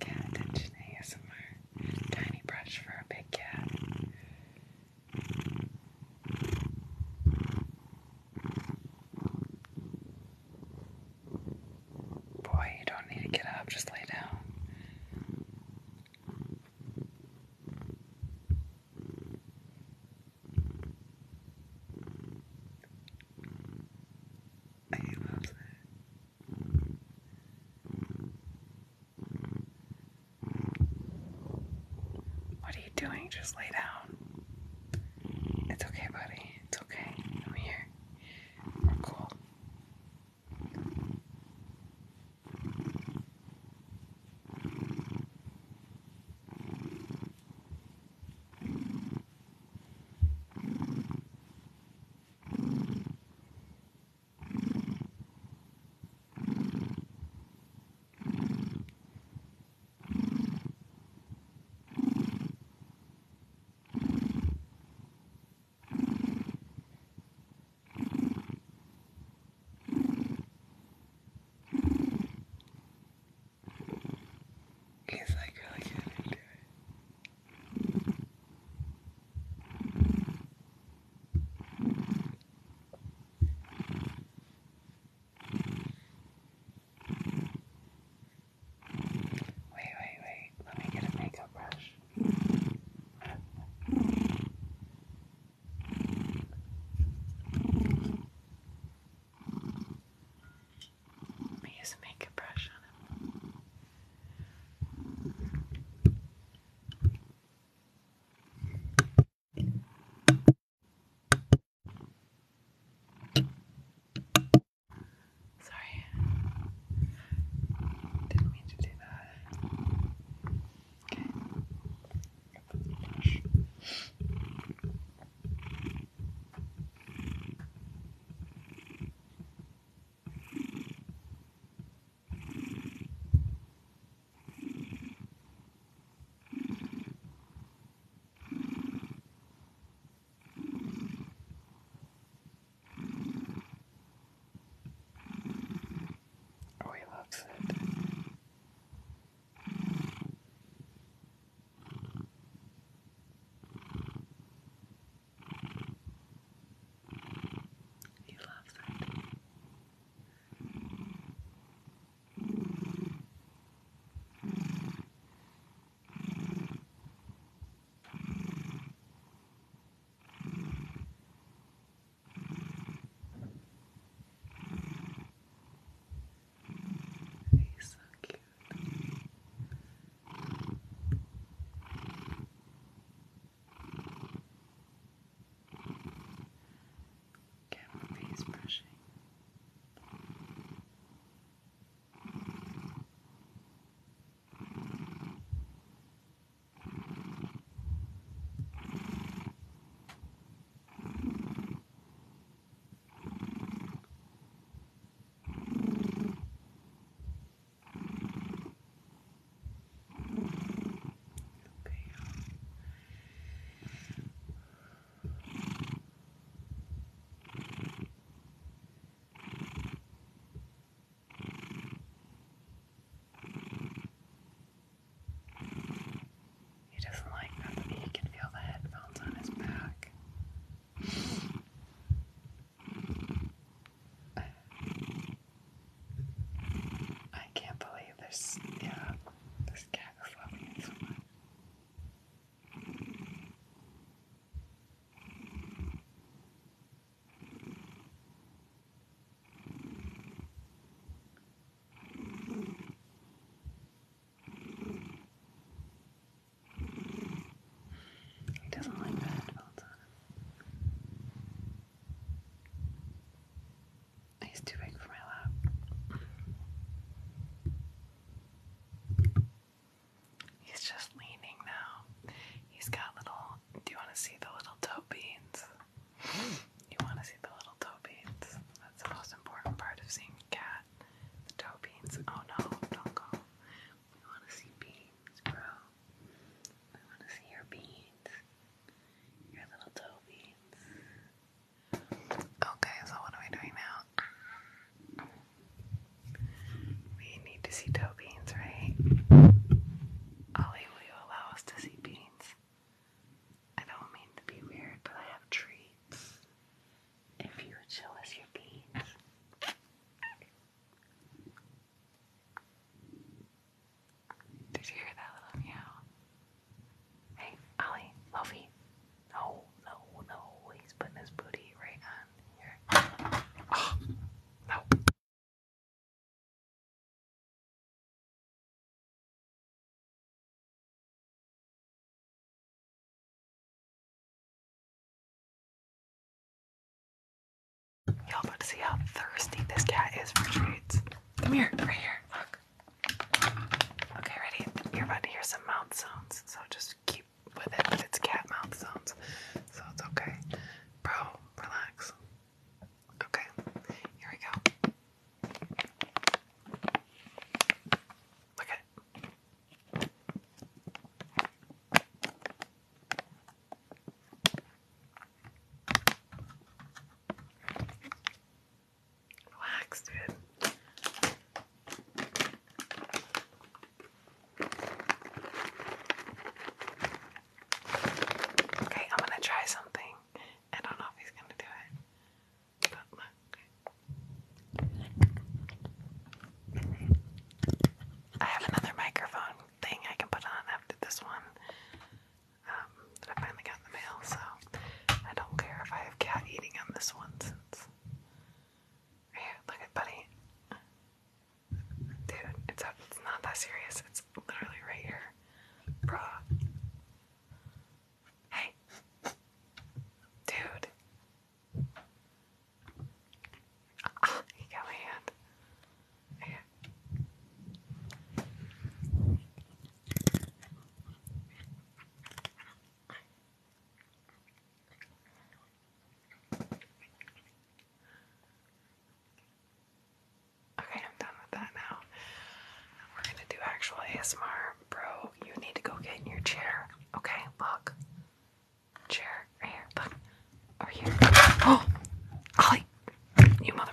cat Tiny brush for a big cat. Boy, you don't need to get up, just lay down. What are you doing? Just lay down. It's okay, buddy. It's okay. i here. We're cool. He's like really good at doing Wait, wait, wait. Let me get a makeup brush. I use a makeup brush on him. Sorry, didn't mean to do that. Okay, put the brush. Oh, he loves it. He loves it. He's so cute. Get my face brushing. Good. Okay. He doesn't like that, he can feel the headphones on his back. I, can't believe this, yeah, this cat is loving it he doesn't like the headphones on him. He's too big for my lap. He's just leaning now. He's got little. Do you want to see the little toe beans? You want to see the little toe beans? That's the most important part of seeing a cat. The toe beans. Oh no, don't go. We want to see beans bro. We want to see your beans. Your little toe beans. Okay, so what are we doing now? We need to see toe beans, right? Ollie, will you allow us to see beans? I don't mean to be weird, but I have treats. If you would show us your beans. Did you hear that little meow? Hey, Ollie, Luffy. No, no, no. He's putting his booty right on here. no. Y'all about to see how thirsty this cat is for treats. Come here, right here. Okay, ready? You're about to hear some mouth sounds, so just keep with it. it's cat mouth sounds, so it's okay. Bro, relax. Okay, here we go. Look Relax, dude. Okay, I'm gonna try something. I don't know if he's gonna do it. But look. I have another microphone thing I can put on after this one um, that I finally got in the mail, so I don't care if I have cat eating on this one since. look at Buddy. Dude, it's, not that serious. It's literally right here. Bruh. Hey. Dude. Ah, got my hand. Okay, I'm done with that now. We're gonna do actual ASMR. Bro, you need to go get in your chair. Okay, look chair here. Look. Over here. (gasps) Oh! Ollie! You mother.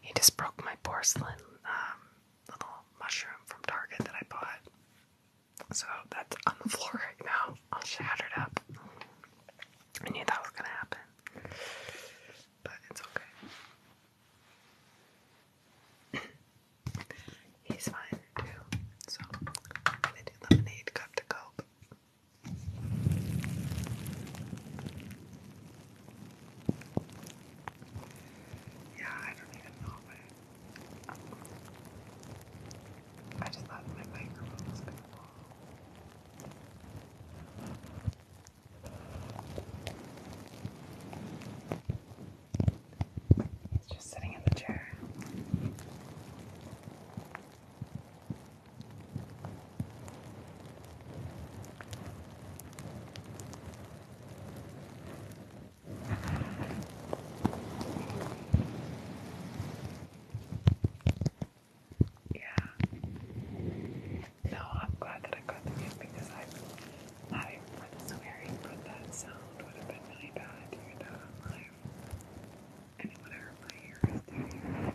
He just broke my porcelain um, little mushroom from Target that I bought. So that's on the floor right now, all shattered up. I knew that was gonna happen, but it's okay. He's fine too. So I'm gonna do lemonade cup to cope. Yeah, I don't even know what I just thought my microphone He's just sitting in the chair. Yeah. No, I'm glad that I got the gift because I'm not even for this but that sound would have been really bad, even though I'm like and whatever my hair is doing.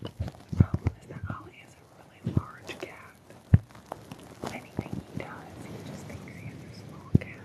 The problem is that Ollie is a really large cat. Anything he does, he just thinks he is a small cat.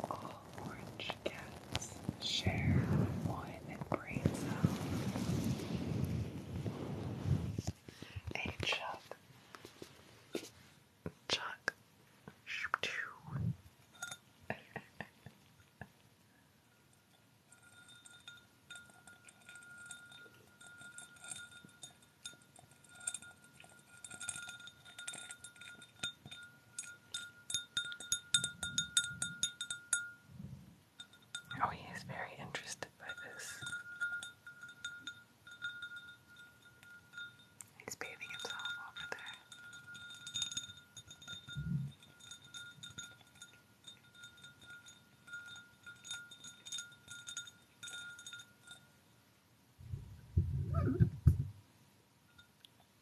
All orange cats share one brain cell. A chuck. Chuck. (laughs) Oh, he is very interested by this. He's bathing himself over there.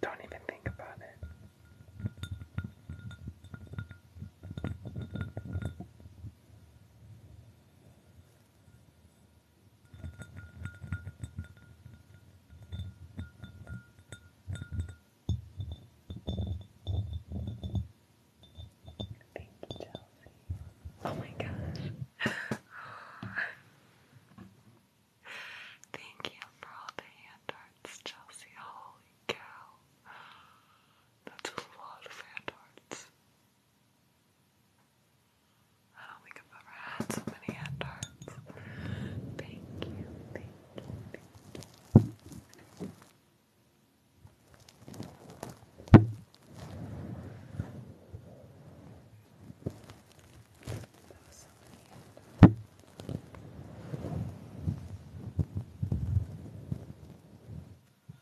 Don't even think about it. Thank you, Chelsea. Oh my gosh. Thank you for all the hand arts, Chelsea. Holy cow. That's a lot of hand arts. I don't think I've ever had so many hand arts. Thank you, thank you,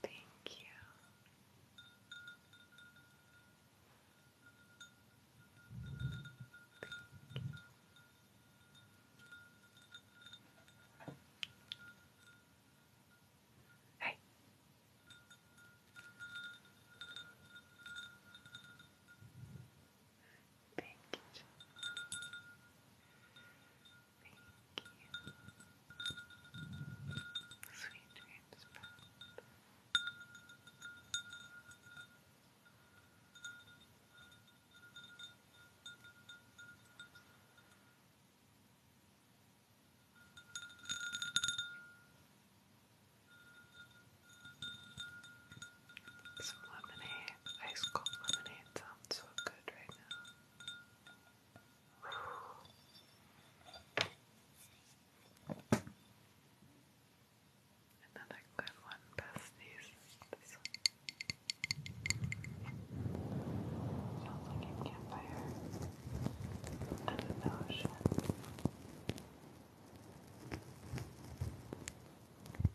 Thank you. Hey. Thank you. Thank you. Sweet dreams, Bob. Thank some lemonade, ice cold lemonade sounds so good right now. Another good one, besties. This like a campfire and an ocean.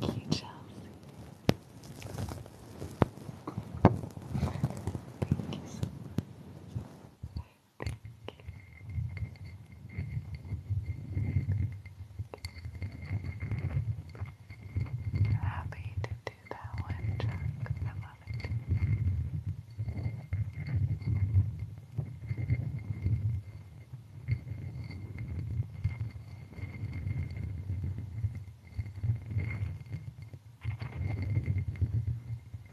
Thank you, Chelsea. Thank you Happy to do that one, Chuck. I love it.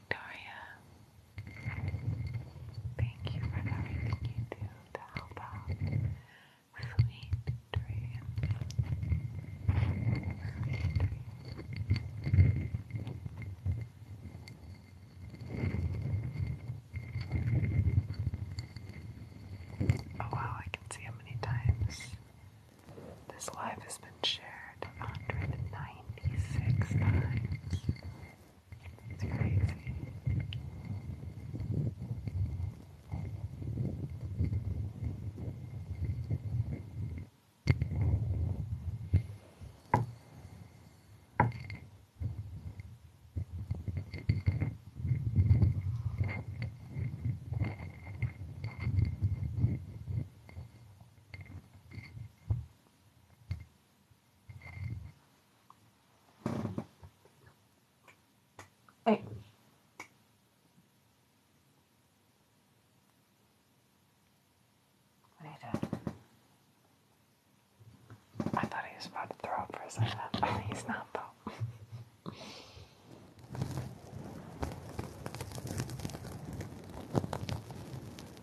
Victoria. Thank you for everything you do to help out. Sweet dreams. Oh wow, I can see how many times this life has been shared 196 times. It's crazy. Wait. I thought he was about to throw up for a second. (laughs) Oh, he's not though.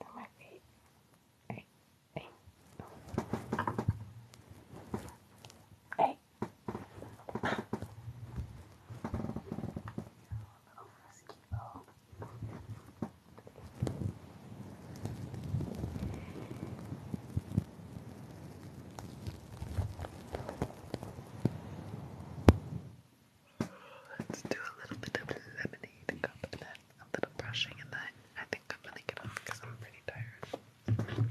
And my feet. Hey, hey. Hey. You're a little frisky, though. Let's do a little bit of lemonade and then a little brushing, and then I think I'm gonna get off because I'm pretty tired.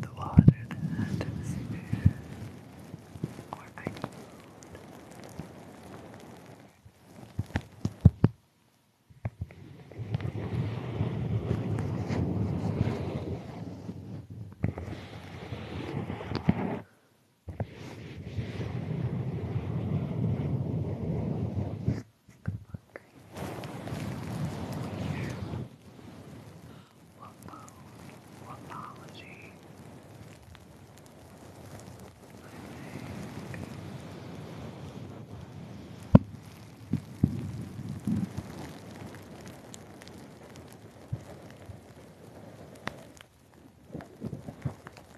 the water that is there, or I need. Take a look. Here. Whoop Whoopology. I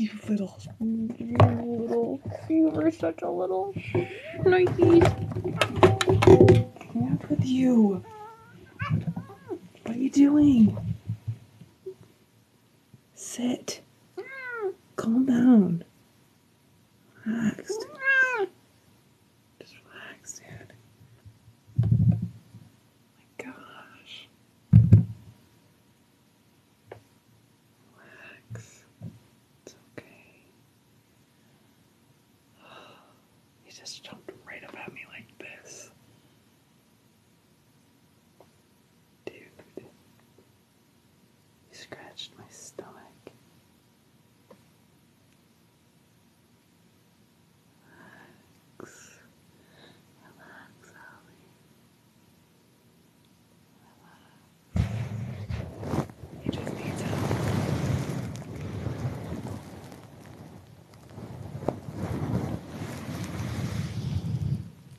You little, you little, you were such a little Nike. What's with you? What are you doing? Sit. Calm down. Relaxed. Just relax, dude. my gosh. Relax. It's okay. He (sighs) just jumped right up at me like this. Dude, he scratched my stomach. Relax, relax, Ollie. Relax. just needs help.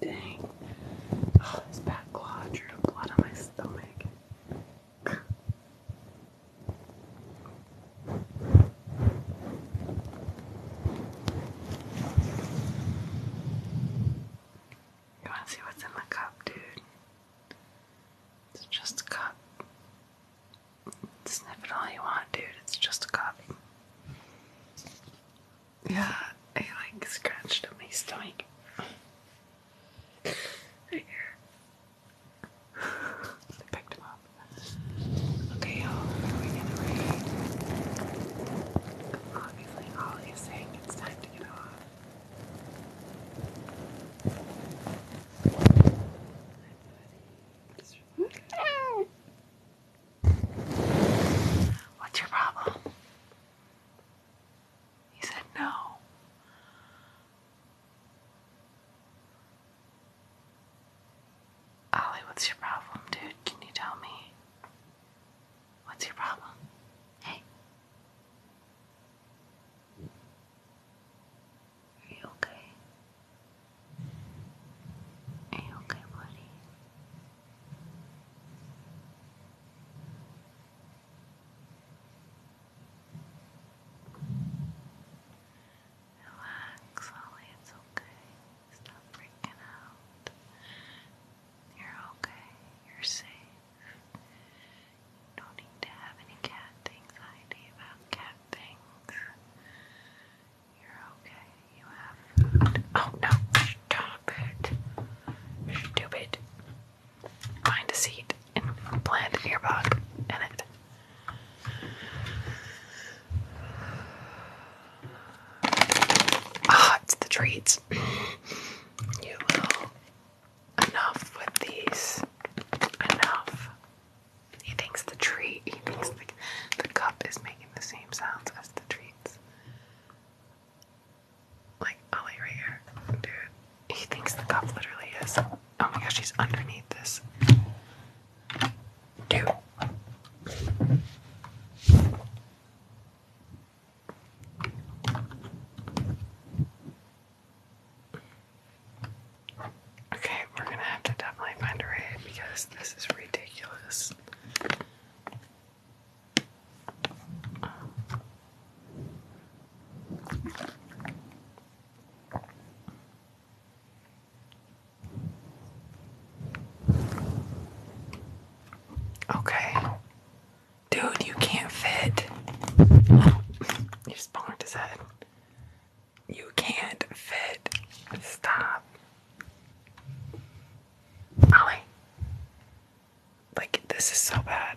Dang. Oh, (sighs) this back claw drew blood on my stomach. You want to see what's in the cup, dude? It's just a cup. Sniff it all you want, dude. It's just a cup. Yeah, I like scratched at my stomach. here. (laughs) picked him up. Okay, y'all, we're gonna read. Obviously, Ollie is saying it's time to get off. What's your problem? He said no. Ollie, what's your problem, dude? Can you tell me? What's your problem? Hey. Are you okay? Are you okay, buddy? Relax, Ollie, it's okay. Stop freaking out. You're okay. You're safe. You don't need to have any cat anxiety about cat things. You're okay. You have Oh no! Stop it! Stupid. Find a seat and plant an earbud in it. Ah, it's the treats. Enough with these. Enough. He thinks the treat. He thinks the, cup is making the same sounds as the treats. Like Ollie right here, dude. He thinks the cup literally is. Oh my gosh, he's underneath this do. Okay, we're gonna have to definitely find a raid because this is ridiculous. Okay. Dude, you can't fit. You just bonked his head. You can't fit. Stop. Like, this is so bad.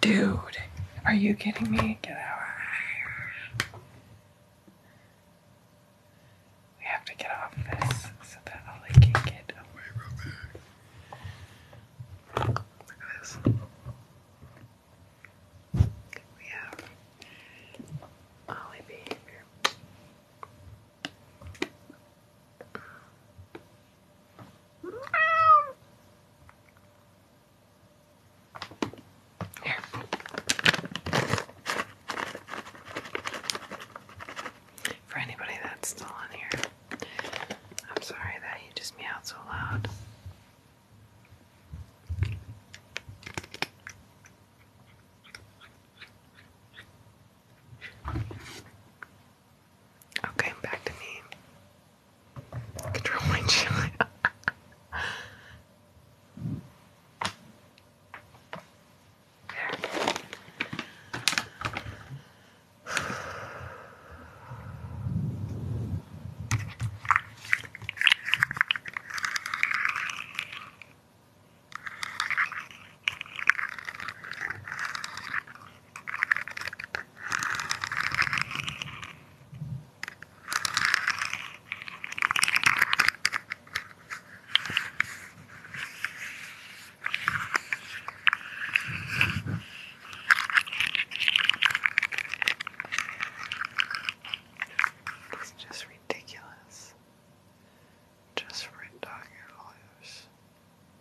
Dude, are you kidding me? Get out. We have to get off this so that Ollie can get away from it. Look at this. We have Ollie behavior. For anybody that's still on here, I'm sorry that you just me out so loud. Okay, back to me. Control my child. It's just ridiculous. Just red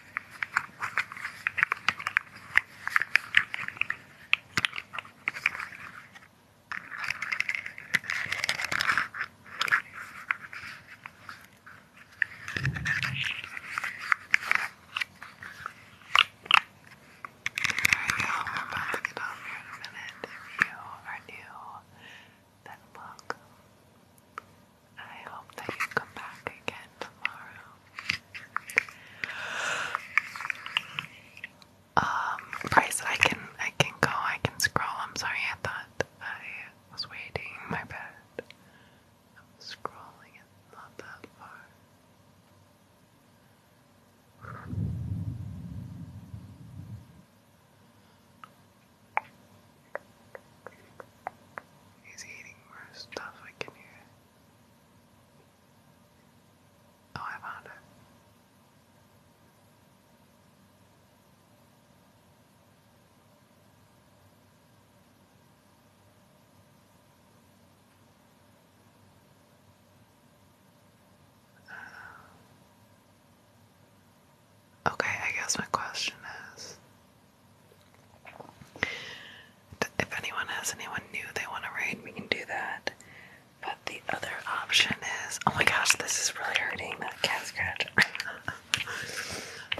Alright, I'm about to get off here in a minute. If you are new, then welcome. I hope that you come back again tomorrow. Um, Bryce, I can, I can go, I can scroll. I'm sorry, I thought I was waiting. My bad. I'm scrolling, it's not that far. He's eating more stuff I can hear. Oh, I found it. Uh, okay, I guess my question is if anyone has anyone new they want to read, we can do that. But the other option is oh my gosh, this is really hurting that cat scratch. (laughs)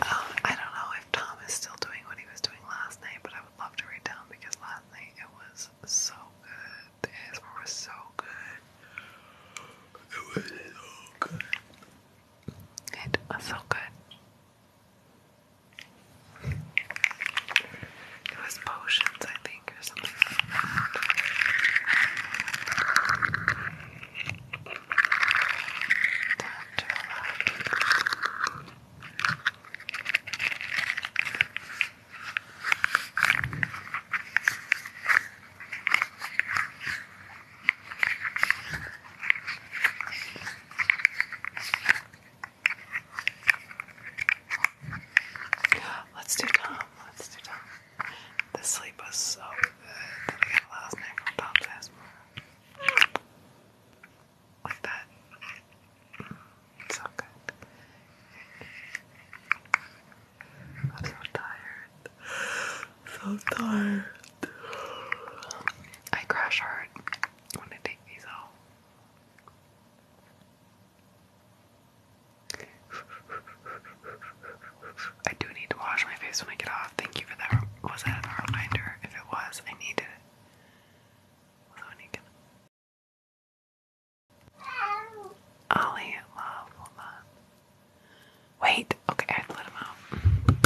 Um, I don't know if Tom is still doing what he was doing last night, but I would love to rate down because last night it was so good. The ASMR was so good. It was so good. It was so good. It was potions, I think, or something Let's do Tom. Let's do Tom. The sleep was so good Like that. so good. I'm so tired. So tired. I crash hard I do need to wash my face when I get off. Thank you for that. Was that a reminder? If it was, I needed it. So love, hold on. Wait, okay, I let him out.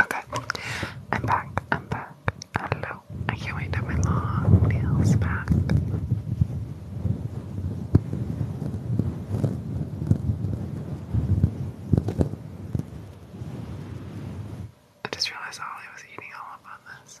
Okay, I'm back. I'm back. Hello. I can't wait to have my long nails back. I just realized Ollie was eating all up on this.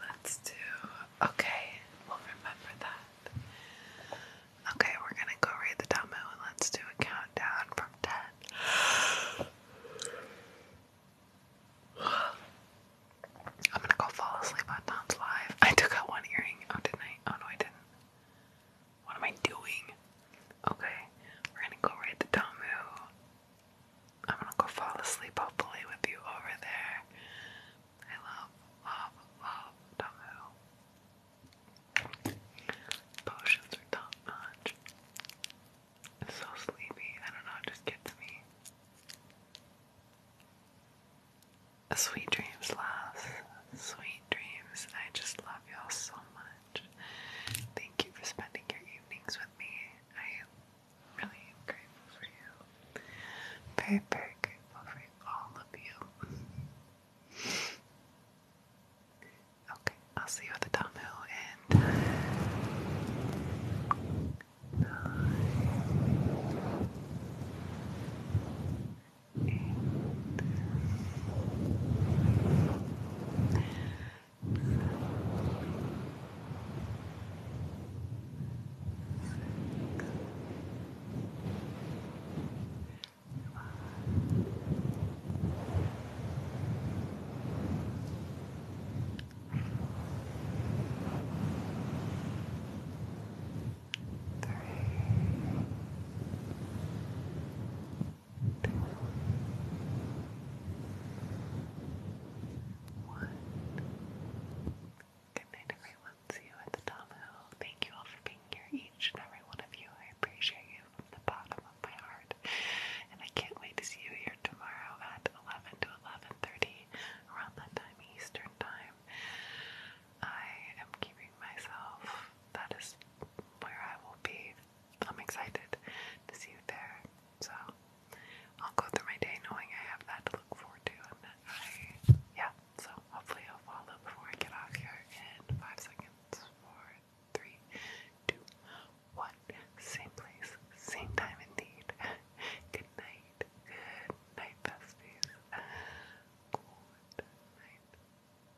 Let's do. Okay, we'll remember that. Okay, we're gonna go read the Talmud and let's do a countdown from 10. I'm gonna go fall asleep on Tom's live. I took out one earring. Oh, didn't I? Oh, no, I didn't. What am I doing? Okay, we're gonna go ride the Tamu. I'm gonna go fall asleep, hopefully, with you over there. I love, love, love Tamu. Potions are top notch. so sleepy. I don't know, it just gets me. Sweet dreams, love. Sweet dreams. I just love y'all so much. Thank you for spending your evenings with me. I am really grateful for you. Very, very grateful for all of you. Okay, I'll see you at the Tamu and bye eight, Three, one. Good night, everyone. See you at the Tom Hill. Thank you all for being here, each and every one of you. I appreciate you from the bottom of my heart. And I can't wait to see you here tomorrow at 11 to 11.30, around that time, Eastern time. I am keeping myself that is where I will be. I'm excited to see you there. So I'll go through my day knowing I have that to look forward to and that I yeah, so hopefully I'll follow before I get off here in five seconds. Four, three, two, one. Same place, same time indeed. Good night. Good night, besties. Good night.